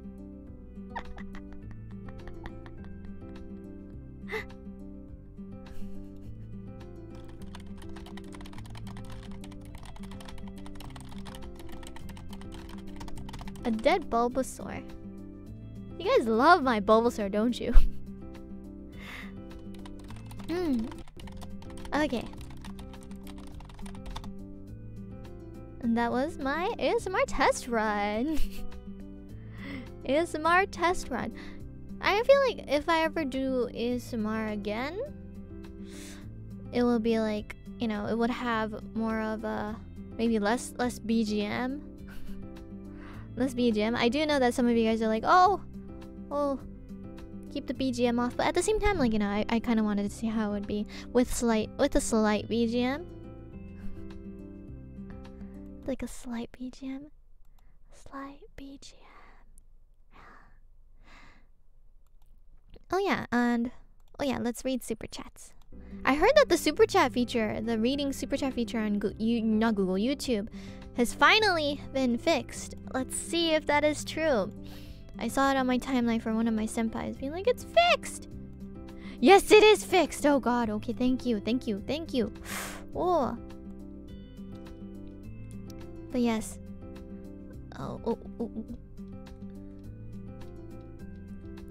A dead Bulbasaur. You guys love my Bulbasaur, don't you? Hmm. Okay that was my ASMR test run. ASMR test run. I feel like if I ever do ASMR again, it will be like, you know, it would have more of a maybe less less BGM. less BGM. I do know that some of you guys are like, oh, well, keep the BGM off. But at the same time, like, you know, I, I kind of wanted to see how it would be with slight with a slight BGM. Like a slight BGM. Slight BGM. Oh yeah, and oh yeah, let's read super chats. I heard that the super chat feature, the reading super chat feature on you, not Google YouTube, has finally been fixed. Let's see if that is true. I saw it on my timeline for one of my senpais being like, it's fixed! Yes, it is fixed! Oh god, okay, thank you, thank you, thank you. Oh. But yes. Oh, oh, oh, oh.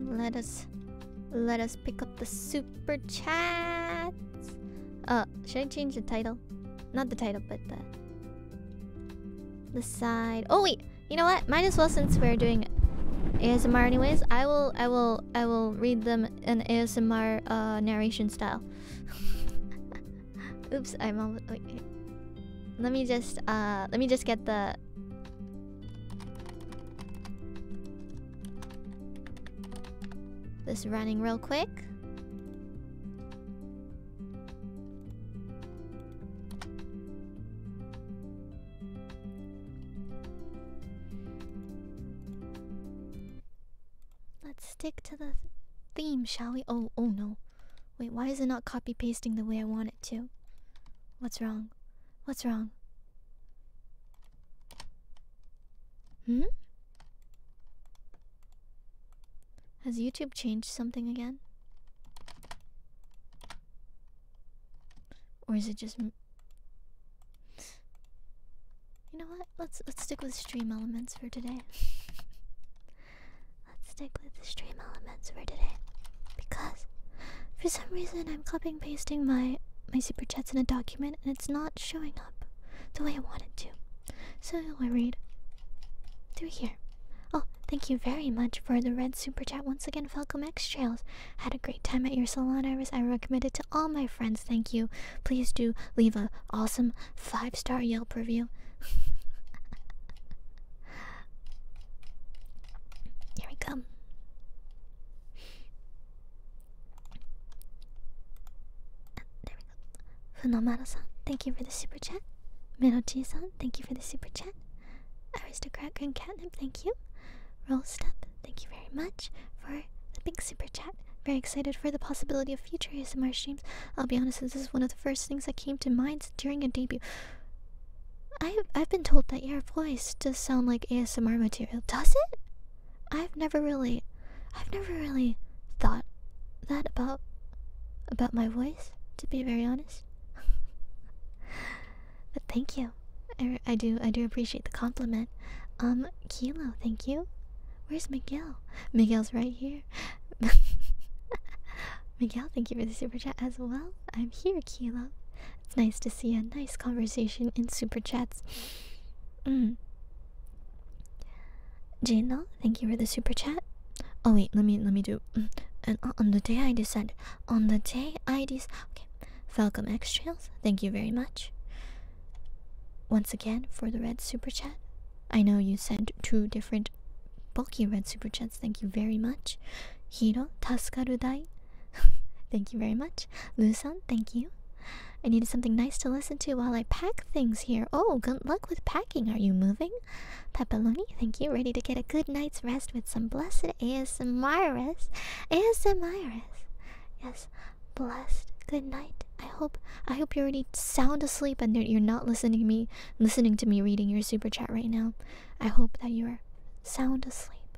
Let us... Let us pick up the super chats. Uh, should I change the title? Not the title, but the... The side... Oh wait! You know what? Might as well since we're doing ASMR anyways. I will, I will, I will read them in ASMR uh, narration style. Oops, I'm all. Let me just, uh, let me just get the. This running real quick. Let's stick to the theme, shall we? Oh, oh no. Wait, why is it not copy pasting the way I want it to? What's wrong? What's wrong? Hmm? Has YouTube changed something again? Or is it just You know what? Let's let's stick with stream elements for today. let's stick with the stream elements for today because for some reason I'm copying pasting my my super chats in a document and it's not showing up the way I want it to. So I'll read through here. Oh, thank you very much for the red super chat once again, Falcom X Trails. Had a great time at your salon, Iris. I recommend it to all my friends. Thank you. Please do leave a awesome five star Yelp review. Here we come. Uh, there we go. Funomara san, thank you for the super chat. Minochi san, thank you for the super chat. Aristocrat Grand Catnip, thank you. Roll Step, thank you very much for the big super chat. Very excited for the possibility of future ASMR streams. I'll be honest, this is one of the first things that came to mind during a debut. I've, I've been told that your voice does sound like ASMR material. Does it? I've never really, I've never really thought that about, about my voice, to be very honest. But thank you. I, do I do appreciate the compliment. Um, Kilo, thank you. Where's Miguel? Miguel's right here. Miguel, thank you for the super chat as well. I'm here, Kilo. It's nice to see a nice conversation in super chats. Mm. Jino, thank you for the super chat. Oh wait, let me let me do. Mm, on the day I decide on the day I dis okay. Falcom X Trails, thank you very much. Once again for the red super chat. I know you sent two different bulky red super chats, thank you very much. Hiro Taskarudai, thank you very much. Lusan, thank you. I needed something nice to listen to while I pack things here. Oh, good luck with packing. Are you moving? Pepperoni, thank you. Ready to get a good night's rest with some blessed ASMRs. ASMRs. Yes, blessed. Good night. I hope I hope you're already sound asleep and you're not listening to me listening to me reading your super chat right now. I hope that you're sound asleep,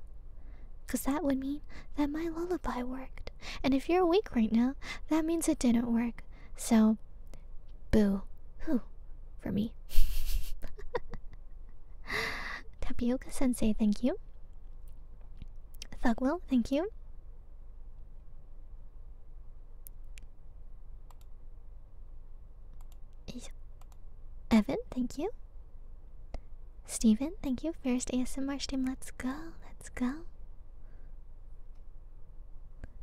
'cause that would mean that my lullaby worked. And if you're awake right now, that means it didn't work. So boo. Whew, for me. Tapioca Sensei, thank you. Thugwell, thank you. Evan, thank you. Steven, thank you. First ASMR stream, let's go, let's go.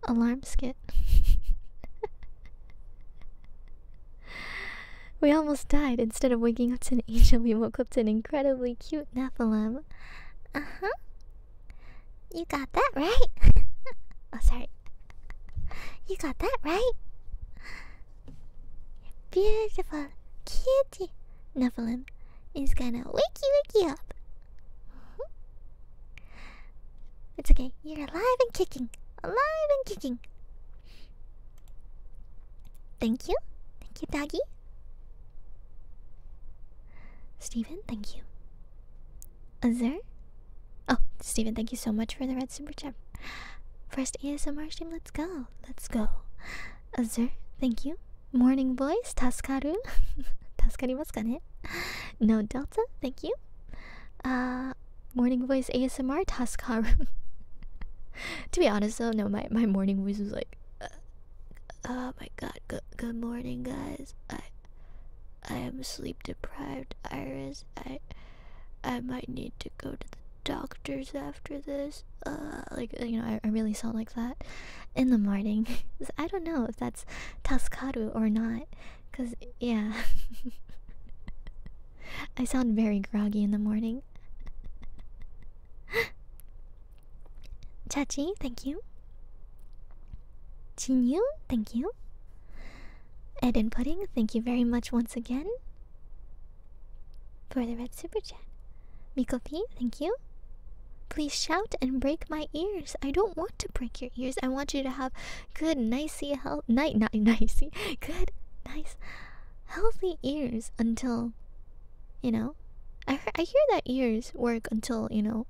Alarm skit. we almost died. Instead of waking up to an angel, we woke up to an incredibly cute Nephilim. Uh huh. You got that right. oh, sorry. You got that right. Beautiful cute Nephilim is gonna wake you, wake you up. Mm-hmm. It's okay. You're alive and kicking. Alive and kicking. Thank you. Thank you, Doggy. Stephen, thank you. Azur? Oh, Stephen, thank you so much for the red super chip. First ASMR stream, let's go. Let's go. Azur, thank you. Morning boys, voice, Taskaru. was gonna. No Delta, thank you. Uh, Morning voice ASMR Taskaru. to be honest though, no, my, my morning voice was like, uh, oh my god, good, good morning guys. I I am sleep deprived, Iris. I I might need to go to the doctors after this. Uh, like you know, I, I really sound like that in the morning. I don't know if that's Taskaru or not, cause yeah. I sound very groggy in the morning. Chachi, thank you. Chinyu, thank you. Ed and Pudding, thank you very much once again for the red super chat. Miko P, thank you. Please shout and break my ears. I don't want to break your ears. I want you to have good, nicey, health, night, night, nicey, good, nice, healthy ears until, you know, I hear, I hear that ears work until you know,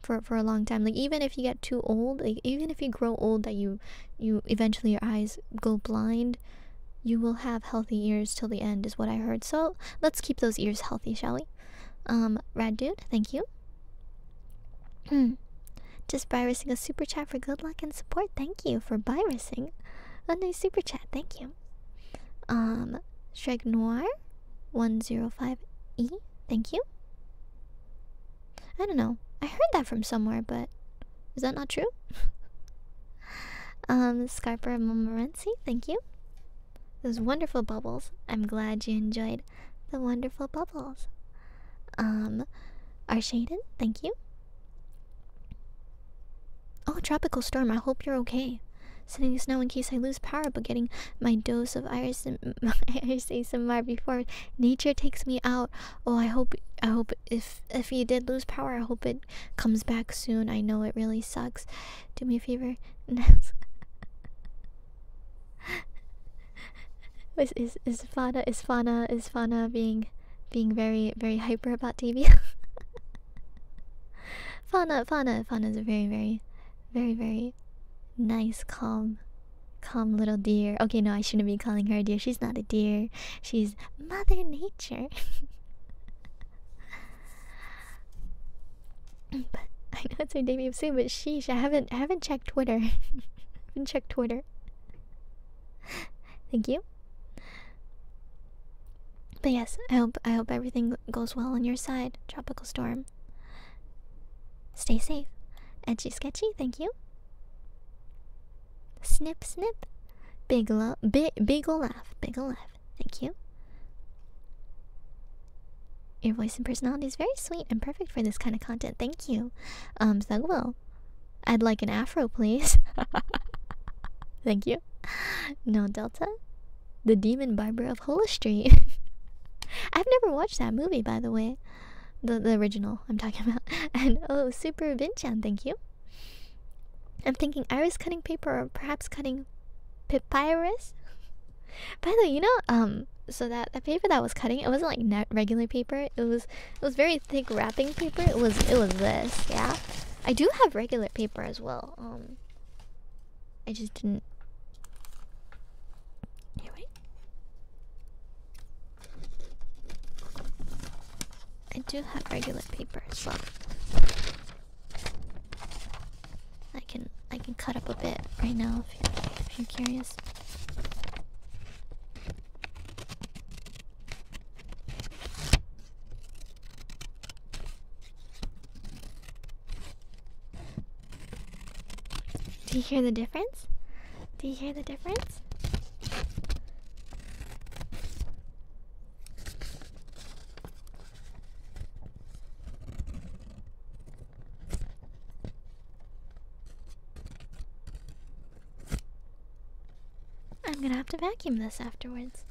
for for a long time. Like even if you get too old, like even if you grow old, that you you eventually your eyes go blind, you will have healthy ears till the end, is what I heard. So let's keep those ears healthy, shall we? Um, rad dude, thank you. Just by risking a super chat for good luck and support. Thank you for by risking a nice super chat. Thank you. Um, Shrek 105E. Thank you. I don't know. I heard that from somewhere, but is that not true? um, Scarper Momorency, thank you. Those wonderful bubbles. I'm glad you enjoyed the wonderful bubbles. Um, Arshaden, thank you. Oh, tropical storm. I hope you're okay. Sending this now in case I lose power, but getting my dose of iris and iris ASMR before nature takes me out. Oh, I hope I hope if if you did lose power, I hope it comes back soon. I know it really sucks. Do me a favor. is is is Fana is Fana being being very, very hyper about Davy. Fana Fana Fana is a very, very, very, very nice, calm, calm little deer. Okay, no, I shouldn't be calling her a deer. She's not a deer. She's Mother Nature. but I know it's her debut soon, but sheesh, I haven't, I haven't checked Twitter. I haven't checked Twitter. Thank you. But yes, I hope I hope everything goes well on your side, tropical storm. Stay safe. Edgy sketchy, thank you. Snip snip. Big lo big ol' laugh. Big ol' laugh. Thank you. Your voice and personality is very sweet and perfect for this kind of content. Thank you. Um, Thugwill. I'd like an afro, please. Thank you. No Delta? The Demon Barber of Hola Street. I've never watched that movie, by the way. The the original I'm talking about. And oh, Super Vinchan, thank you. I'm thinking iris cutting paper or perhaps cutting papyrus. By the way, you know, um, so that the paper that I was cutting, it wasn't like regular paper. It was it was very thick wrapping paper. It was it was this, yeah. I do have regular paper as well. Um I just didn't wait. I do have regular paper as well. I can I can cut up a bit right now if you're curious. Do you hear the difference? Do you hear the difference? I'm gonna have to vacuum this afterwards.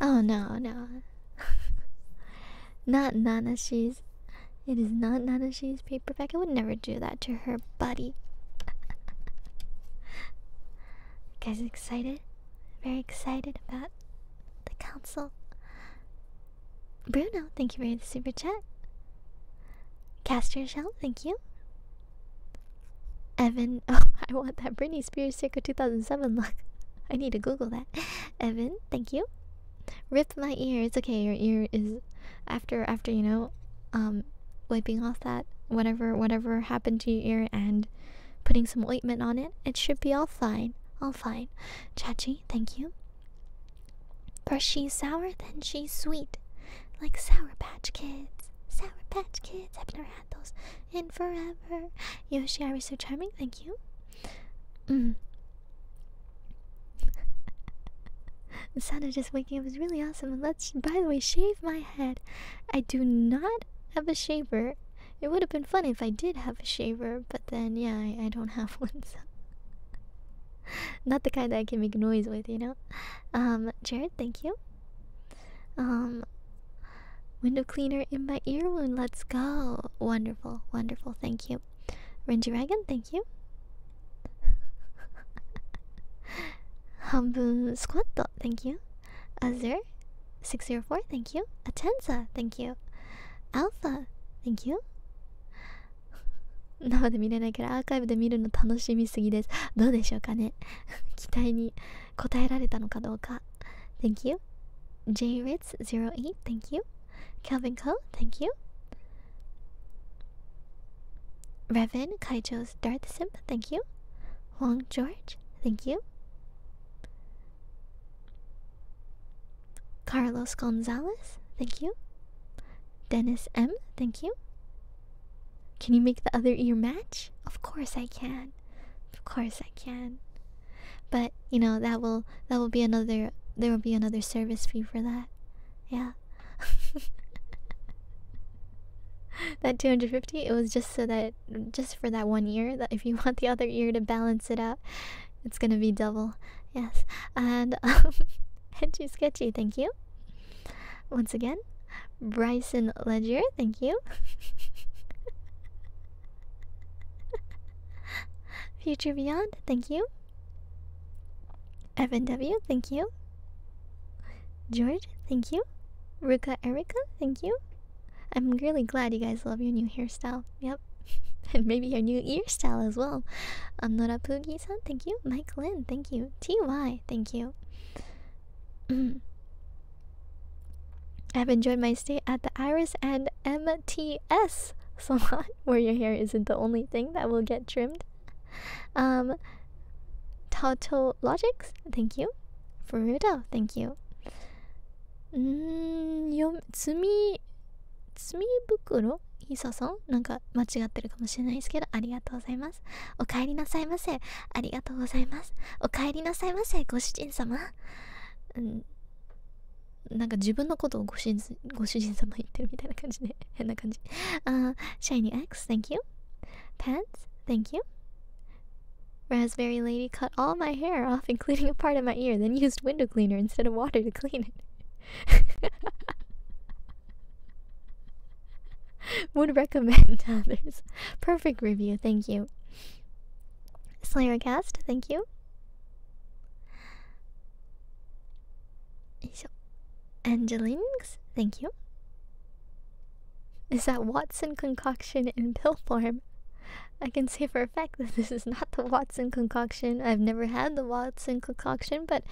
Oh no, no. not Nana She's. It is not Nana She's paperback. I would never do that to her buddy. guys excited? Very excited about the council. Bruno, thank you for the super chat. Caster Shell, thank you. Evan, oh, I want that Britney Spears circa 2007 look. I need to Google that. Evan, thank you. Rip my ear. It's okay. Your ear is after after you know, um, wiping off that whatever whatever happened to your ear and putting some ointment on it. It should be all fine. All fine. Chachi, thank you. But she's sour, then she's sweet. Like Sour Patch Kids. Sour Patch Kids. I've never had those in forever. Yoshi, are we so charming? Thank you. the sound of just waking up is really awesome. let's, by the way, shave my head. I do not have a shaver. It would have been fun if I did have a shaver, but then, yeah, I, I don't have one, so. Not the kind that I can make noise with, you know? Um, Jared, thank you. Um, window cleaner in my ear wound, let's go. Wonderful, wonderful, thank you. Renji Ragan, thank you. Hambun Squatto, thank you. Azure, 604, thank you. Atenza, thank you. Alpha, thank you. 生で見れないからアーカイブで見るの楽しみすぎですどうでしょうかね期待に応えられたのかどうか Thank you JRITZ08 Thank you Calvin Cole Thank you Revan Kaijo's Darth Simp Thank you Wong George Thank you Carlos Gonzalez, thank you. Dennis M, thank you. Can you make the other ear match? Of course I can. Of course I can. But you know that will that will be another there will be another service fee for that. Yeah. that 250 it was just so that just for that one ear that if you want the other ear to balance it out it's gonna be double. Yes. And um too Sketchy, thank you. Once again. Bryson Ledger, thank you. Future Beyond, thank you. Evan W, thank you. George, thank you. Ruka Erica, thank you. I'm really glad you guys love your new hairstyle. Yep. and maybe your new hairstyle as well. i Um, Nora thank you. Mike Lynn, thank you. T.Y., thank you. I've enjoyed my stay at the Iris and MTS salon, where your hair isn't the only thing that will get trimmed. Um, Tato Logics, thank you. Furudo, thank you. Mm, Tsumi 墨袋ひささんなんか間違ってるかもしれないですけどありがとうございますお帰りなさいませありがとうございますお帰りなさいませご主人様うんなんか自分のことをご主人ご主人様言ってるみたいな感じで変な感じあシャイニー X thank you pants thank you raspberry lady cut all my hair off including a part of my ear then used window cleaner instead of water to clean it Would recommend others. Perfect review, thank you. Slayercast, thank you. Angelinx, thank you. Is that Watson concoction in pill form? I can say for a fact that this is not the Watson concoction. I've never had the Watson concoction, but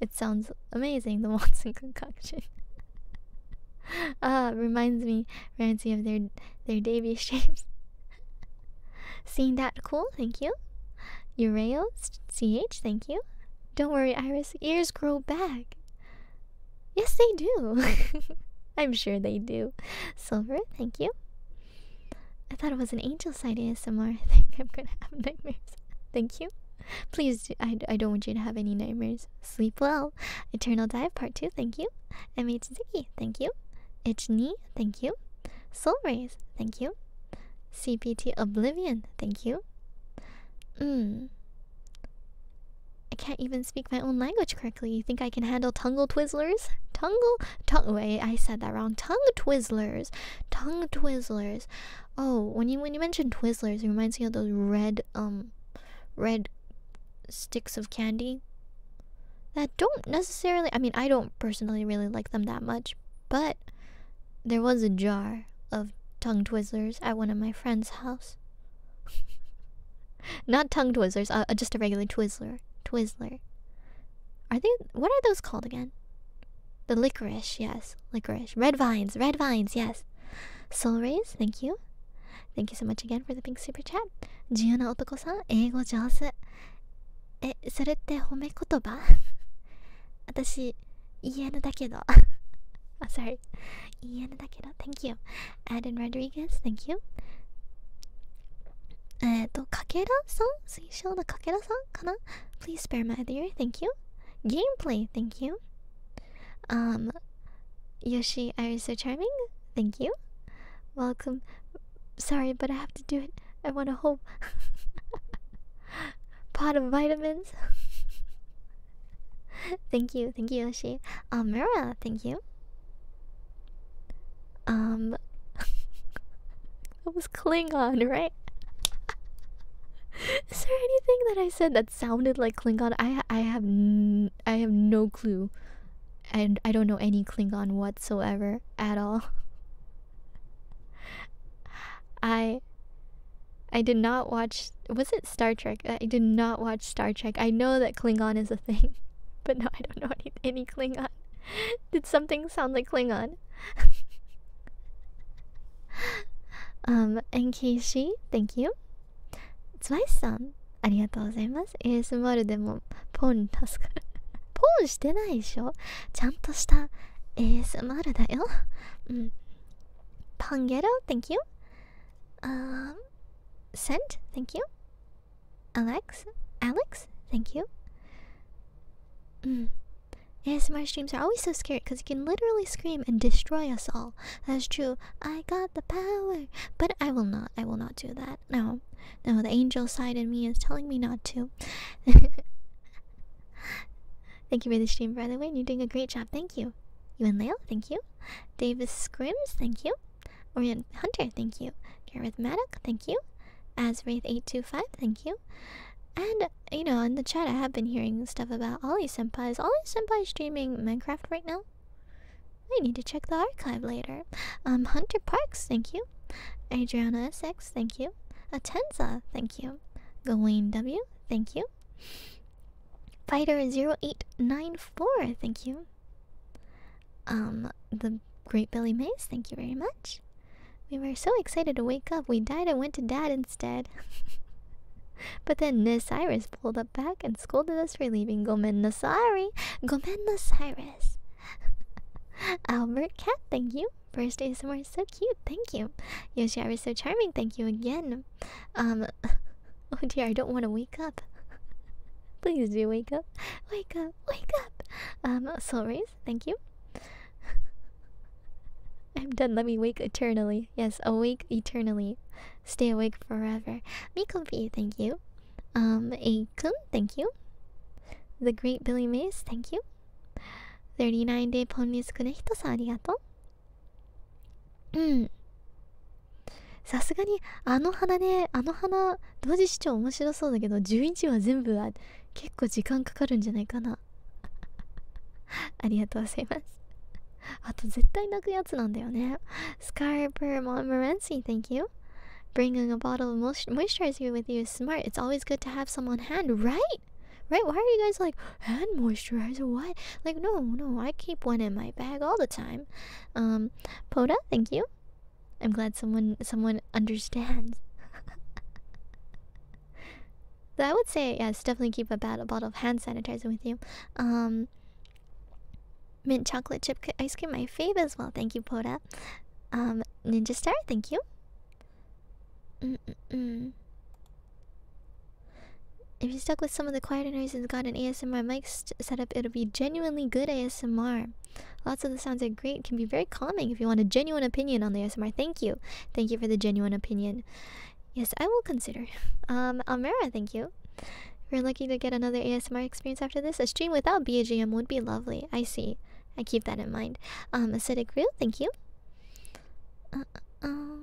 it sounds amazing, the Watson concoction. Ah, reminds me, fancy of their their debut shapes. Seeing that cool, thank you. Urails, ch, thank you. Don't worry, Iris. Ears grow back. Yes, they do. I'm sure they do. Silver, thank you. I thought it was an angel side ASMR. I think I'm gonna have nightmares. Thank you. Please, I, I don't want you to have any nightmares. Sleep well. Eternal Dive Part 2, thank you. MHZiki, thank you. Ichni, thank you. Soul Raise. thank you. CPT Oblivion, thank you. Mm. I can't even speak my own language correctly. You think I can handle Tungle Twizzlers? Tungle? Tung wait, I said that wrong. Tongue Twizzlers. Tongue Twizzlers. Oh, when you when you mentioned Twizzlers, it reminds me of those red um red sticks of candy that don't necessarily I mean I don't personally really like them that much, but there was a jar of tongue twizzlers at one of my friend's house. Not tongue twizzlers, uh, just a regular twizzler. Twizzler. Are they what are those called again? The licorice, yes, licorice. Red vines, red vines, yes. Soul rays, thank you. Thank you so much again for the big super chat. Giona Otoko-san, Eigo Jose. Eh, それって褒め言葉私、言えぬだけど。oh, sorry. 言えぬだけど。Thank you. Adam Rodriguez, thank you. えっと、かけらさん eh, Seashell the Kakera san kana? Please spare my dear, thank you. Gameplay, thank you. Um Yoshi, are you so charming? Thank you. Welcome. Sorry, but I have to do it. I want a whole pot of vitamins. thank you, thank you, Yoshi. Amira, um, thank you. Um That was Klingon, right? Is there anything that I said that sounded like Klingon? I I have n I have no clue, and I don't know any Klingon whatsoever at all. I I did not watch. Was it Star Trek? I did not watch Star Trek. I know that Klingon is a thing, but no, I don't know any any Klingon. Did something sound like Klingon? um, and Keishi, thank you. Twice-san, ありがとうございます。ASMR でもポン出すから。ポンしてないでしょちゃんとした ASMR だよ。うん。パンゲロ thank you. Um, Sent, thank you. Alex, Alex, thank you. うん。Yes, my streams are always so scary because you can literally scream and destroy us all. That's true. I got the power. But I will not. I will not do that. No. No, the angel side in me is telling me not to. thank you for the stream, by the way. You're doing a great job. Thank you. You and Leo, thank you. Davis Scrims, thank you. Orion Hunter, thank you. Gareth thank you as Wraith825, thank you. And, you know, in the chat I have been hearing stuff about Ollie Sempai. Is Ollie Sempai streaming Minecraft right now? I need to check the archive later. Um, Hunter Parks, thank you. Adriana SX, thank you. Atenza, thank you. Gawain W, thank you. Fighter0894, thank you. Um, the Great Billy Mays, thank you very much. We were so excited to wake up, we died and went to dad instead. but then Nasiris pulled up back and scolded us for leaving Gomen Nasari. Gomen Nasiris. Albert Cat, thank you. Birthday, day somewhere so cute, thank you. Yoshiara is so charming, thank you again. Um, oh dear, I don't want to wake up. Please do wake up, wake up, wake up. Um, Soul Rays, thank you. I'm done. Let me wake eternally. Yes, awake eternally. Stay awake forever. Mikopi, thank you. Um, Akun, thank you. The Great Billy Mays, thank you. 39 Day Ponies Kunehito sa arigato. うん。さすがに、あの花ね、あの花、同時視聴面白そうだけど、11話全部は結構時間かかるんじゃないかな。ありがとうございますあと絶対泣くやつなんだよね Scarper Montmorency thank you Bringing a bottle of moisturizer with you is smart. It's always good to have some on hand, right? Right? Why are you guys like, hand moisturizer? What? Like, no, no, I keep one in my bag all the time. Um, Poda, thank you. I'm glad someone someone understands. I would say yes, definitely keep a bad bottle of hand sanitizer with you. Um, mint chocolate chip ice cream, my fave as well. Thank you, Poda. Um, Ninja Star, thank you. If you stuck with some of the quieter noise and got an ASMR mic setup, it'll be genuinely good ASMR. Lots of the sounds are great. Can be very calming if you want a genuine opinion on the ASMR. Thank Thank you. Thank you for the genuine opinion. Yes, I will consider. Um, Almera, thank you. We're lucky to get another ASMR experience after this. A stream without BGM would be lovely. I see. I keep that in mind. Um, acidic real, thank you. Uh, uh, um,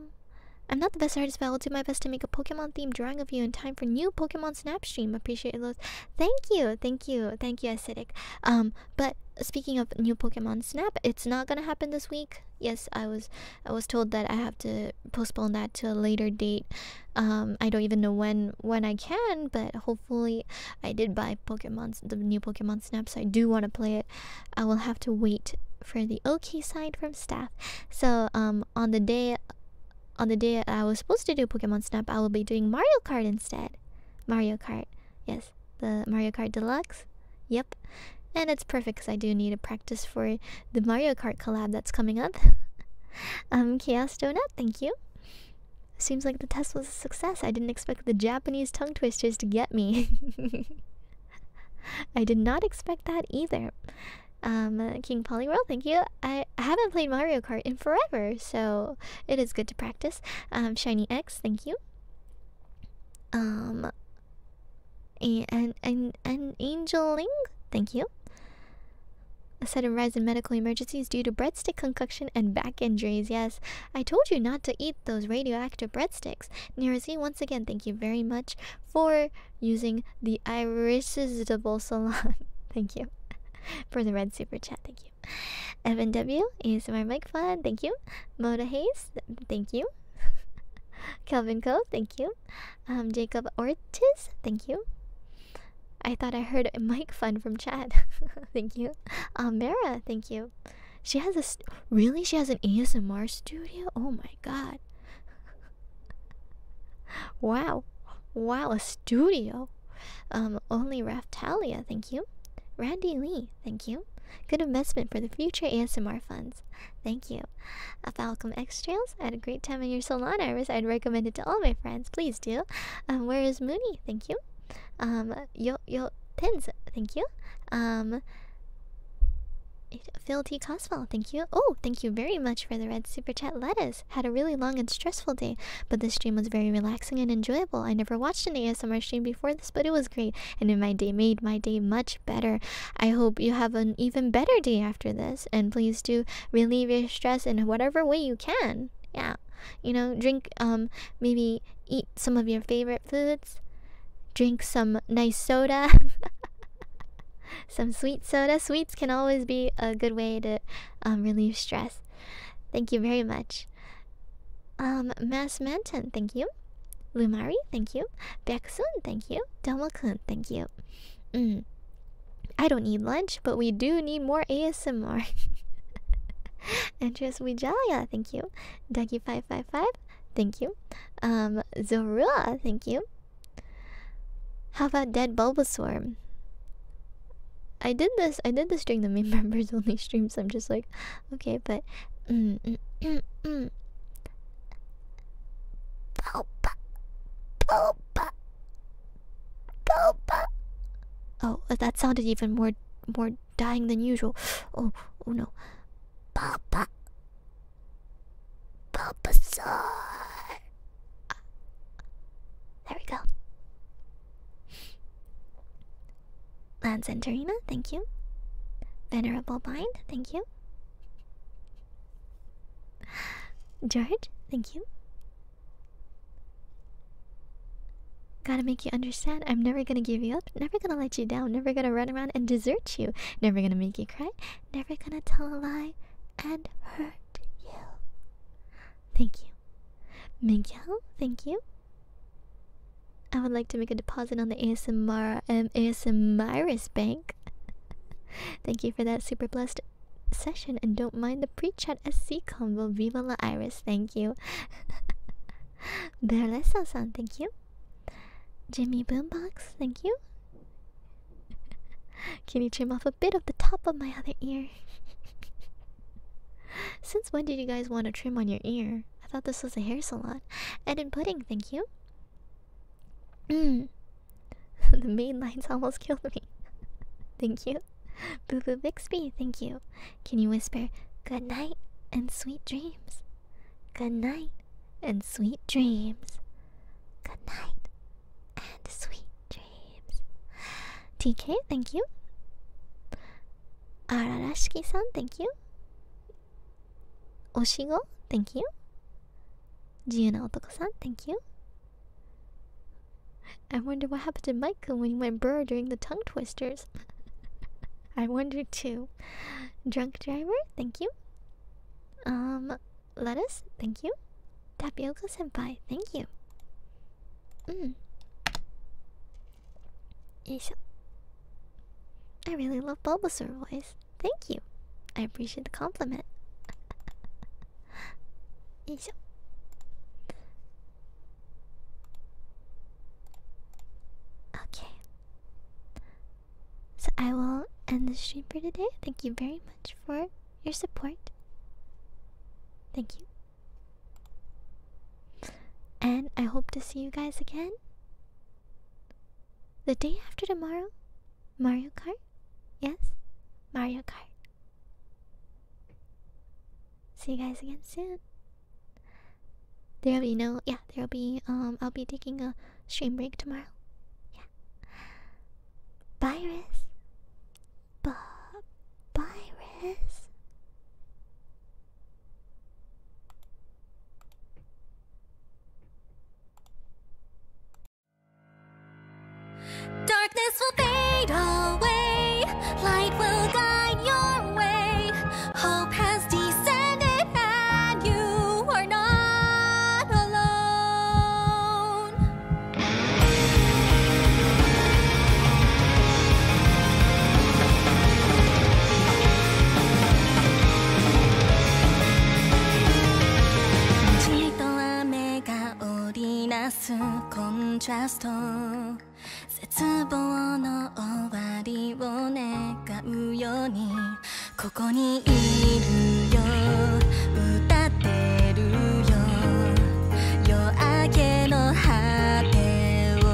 I'm not the best artist, but I will do my best to make a Pokemon theme drawing of you in time for new Pokemon Snap stream. Appreciate it, lots. Thank you, thank you, thank you, acidic. Um, but speaking of new Pokemon Snap, it's not gonna happen this week. Yes, I was I was told that I have to postpone that to a later date. Um, I don't even know when when I can, but hopefully I did buy Pokemon the new Pokemon Snap, so I do want to play it. I will have to wait for the okay sign from staff. So um, on the day on the day I was supposed to do Pokemon Snap, I will be doing Mario Kart instead. Mario Kart. Yes, the Mario Kart Deluxe. Yep. And it's perfect because I do need a practice for the Mario Kart collab that's coming up. um, Chaos Donut, thank you. Seems like the test was a success. I didn't expect the Japanese tongue twisters to get me. I did not expect that either. Um, uh, King Polyworld, thank you. I, I haven't played Mario Kart in forever, so it is good to practice. Um, Shiny X, thank you um and and and angeling thank you a sudden rise in medical emergencies due to breadstick concussion and back injuries yes i told you not to eat those radioactive breadsticks Nirazi, once again thank you very much for using the irresistible salon thank you for the red super chat thank you evan w is my mic fun thank you moda hayes thank you. Kelvin Co, thank you. Um, Jacob Ortiz, thank you. I thought I heard Mike Fun from Chad, thank you. Amara, um, thank you. She has a really she has an ASMR studio. Oh my god! wow, wow, a studio. Um, only Raftalia, thank you. Randy Lee, Thank you. Good investment for the future ASMR funds. Thank you. A Falcom X Trails. I had a great time in your salon, Iris. I'd recommend it to all my friends. Please do. Um, where is Mooney? Thank you. Um, yo yo Tens. Thank you. Um, Phil T. Coswell, thank you. Oh, thank you very much for the red super chat lettuce. Had a really long and stressful day, but this stream was very relaxing and enjoyable. I never watched an ASMR stream before this, but it was great and in my day made my day much better. I hope you have an even better day after this and please do relieve your stress in whatever way you can. Yeah. You know, drink um maybe eat some of your favorite foods. Drink some nice soda. some sweet soda. Sweets can always be a good way to um, relieve stress. Thank you very much. Um, Mass Manton, thank you. Lumari, thank you. Beksun, thank you. Domakun, thank you. Mm. I don't need lunch, but we do need more ASMR. Andres Wijaya, thank you. Dougie555, thank you. Um, Zorua, thank you. How about Dead Bulbasaur? I did this. I did this during the main members only streams. I'm just like, Okay, but mm, mm, mm, Oh, that sounded even more more dying than usual. Oh, oh no. There we go. Lance Santorina, thank you. Venerable Bind, thank you. George, thank you. Gotta make you understand. I'm never gonna give you up, never gonna let you down, never gonna run around and desert you, never gonna make you cry, never gonna tell a lie and hurt you. Thank you. Miguel, thank you. I would like to make a deposit on the ASMR um, ASMRist bank. Thank you for that super blessed session and don't mind the pre-chat SC combo. Viva la Iris, thank you. Berlesa-san, thank you. Jimmy Boombox, thank you. Can you trim off a bit of the top of my other ear? Since when did you guys want to trim on your ear? I thought this was a hair salon. And in pudding, thank you. Mm. the main lines almost killed me. thank you. Boo Boo Bixby, thank you. Can you whisper good night and sweet dreams? Good night and sweet dreams. Good night and sweet dreams. TK, thank you. Ararashiki san, thank you. Oshigo, thank you. Gianna Otoko-san, thank you. I wonder what happened to Michael when he went burr during the tongue twisters. I wonder too. Drunk driver, thank you. Um, lettuce, thank you. Tapioca senpai, thank you. Mm. Yo I really love Bulbasaur voice. Thank you. I appreciate the compliment. Yo Okay. So I will end the stream for today. Thank you very much for your support. Thank you. And I hope to see you guys again the day after tomorrow? Mario Kart? Yes? Mario Kart. See you guys again soon. There'll be no yeah, there'll be um I'll be taking a stream break tomorrow. Yeah. Bye Riz. Bye Darkness will fade away, light will guide your way. Hope has descended and you are not alone. とがりなす。コントャスト絶望の終わりを願うようにここにいるよ歌ってるよ夜明けの果てを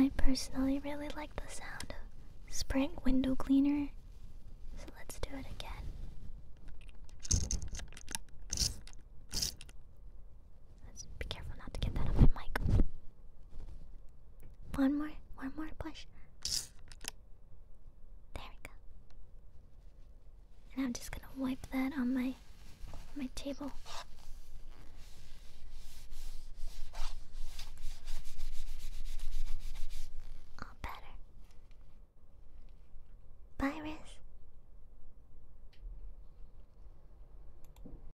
I personally really like the sound of spring window cleaner, so let's do it again. Let's be careful not to get that on my mic. One more, one more push. There we go. And I'm just gonna wipe that on my my table. All better. Bye, Riz.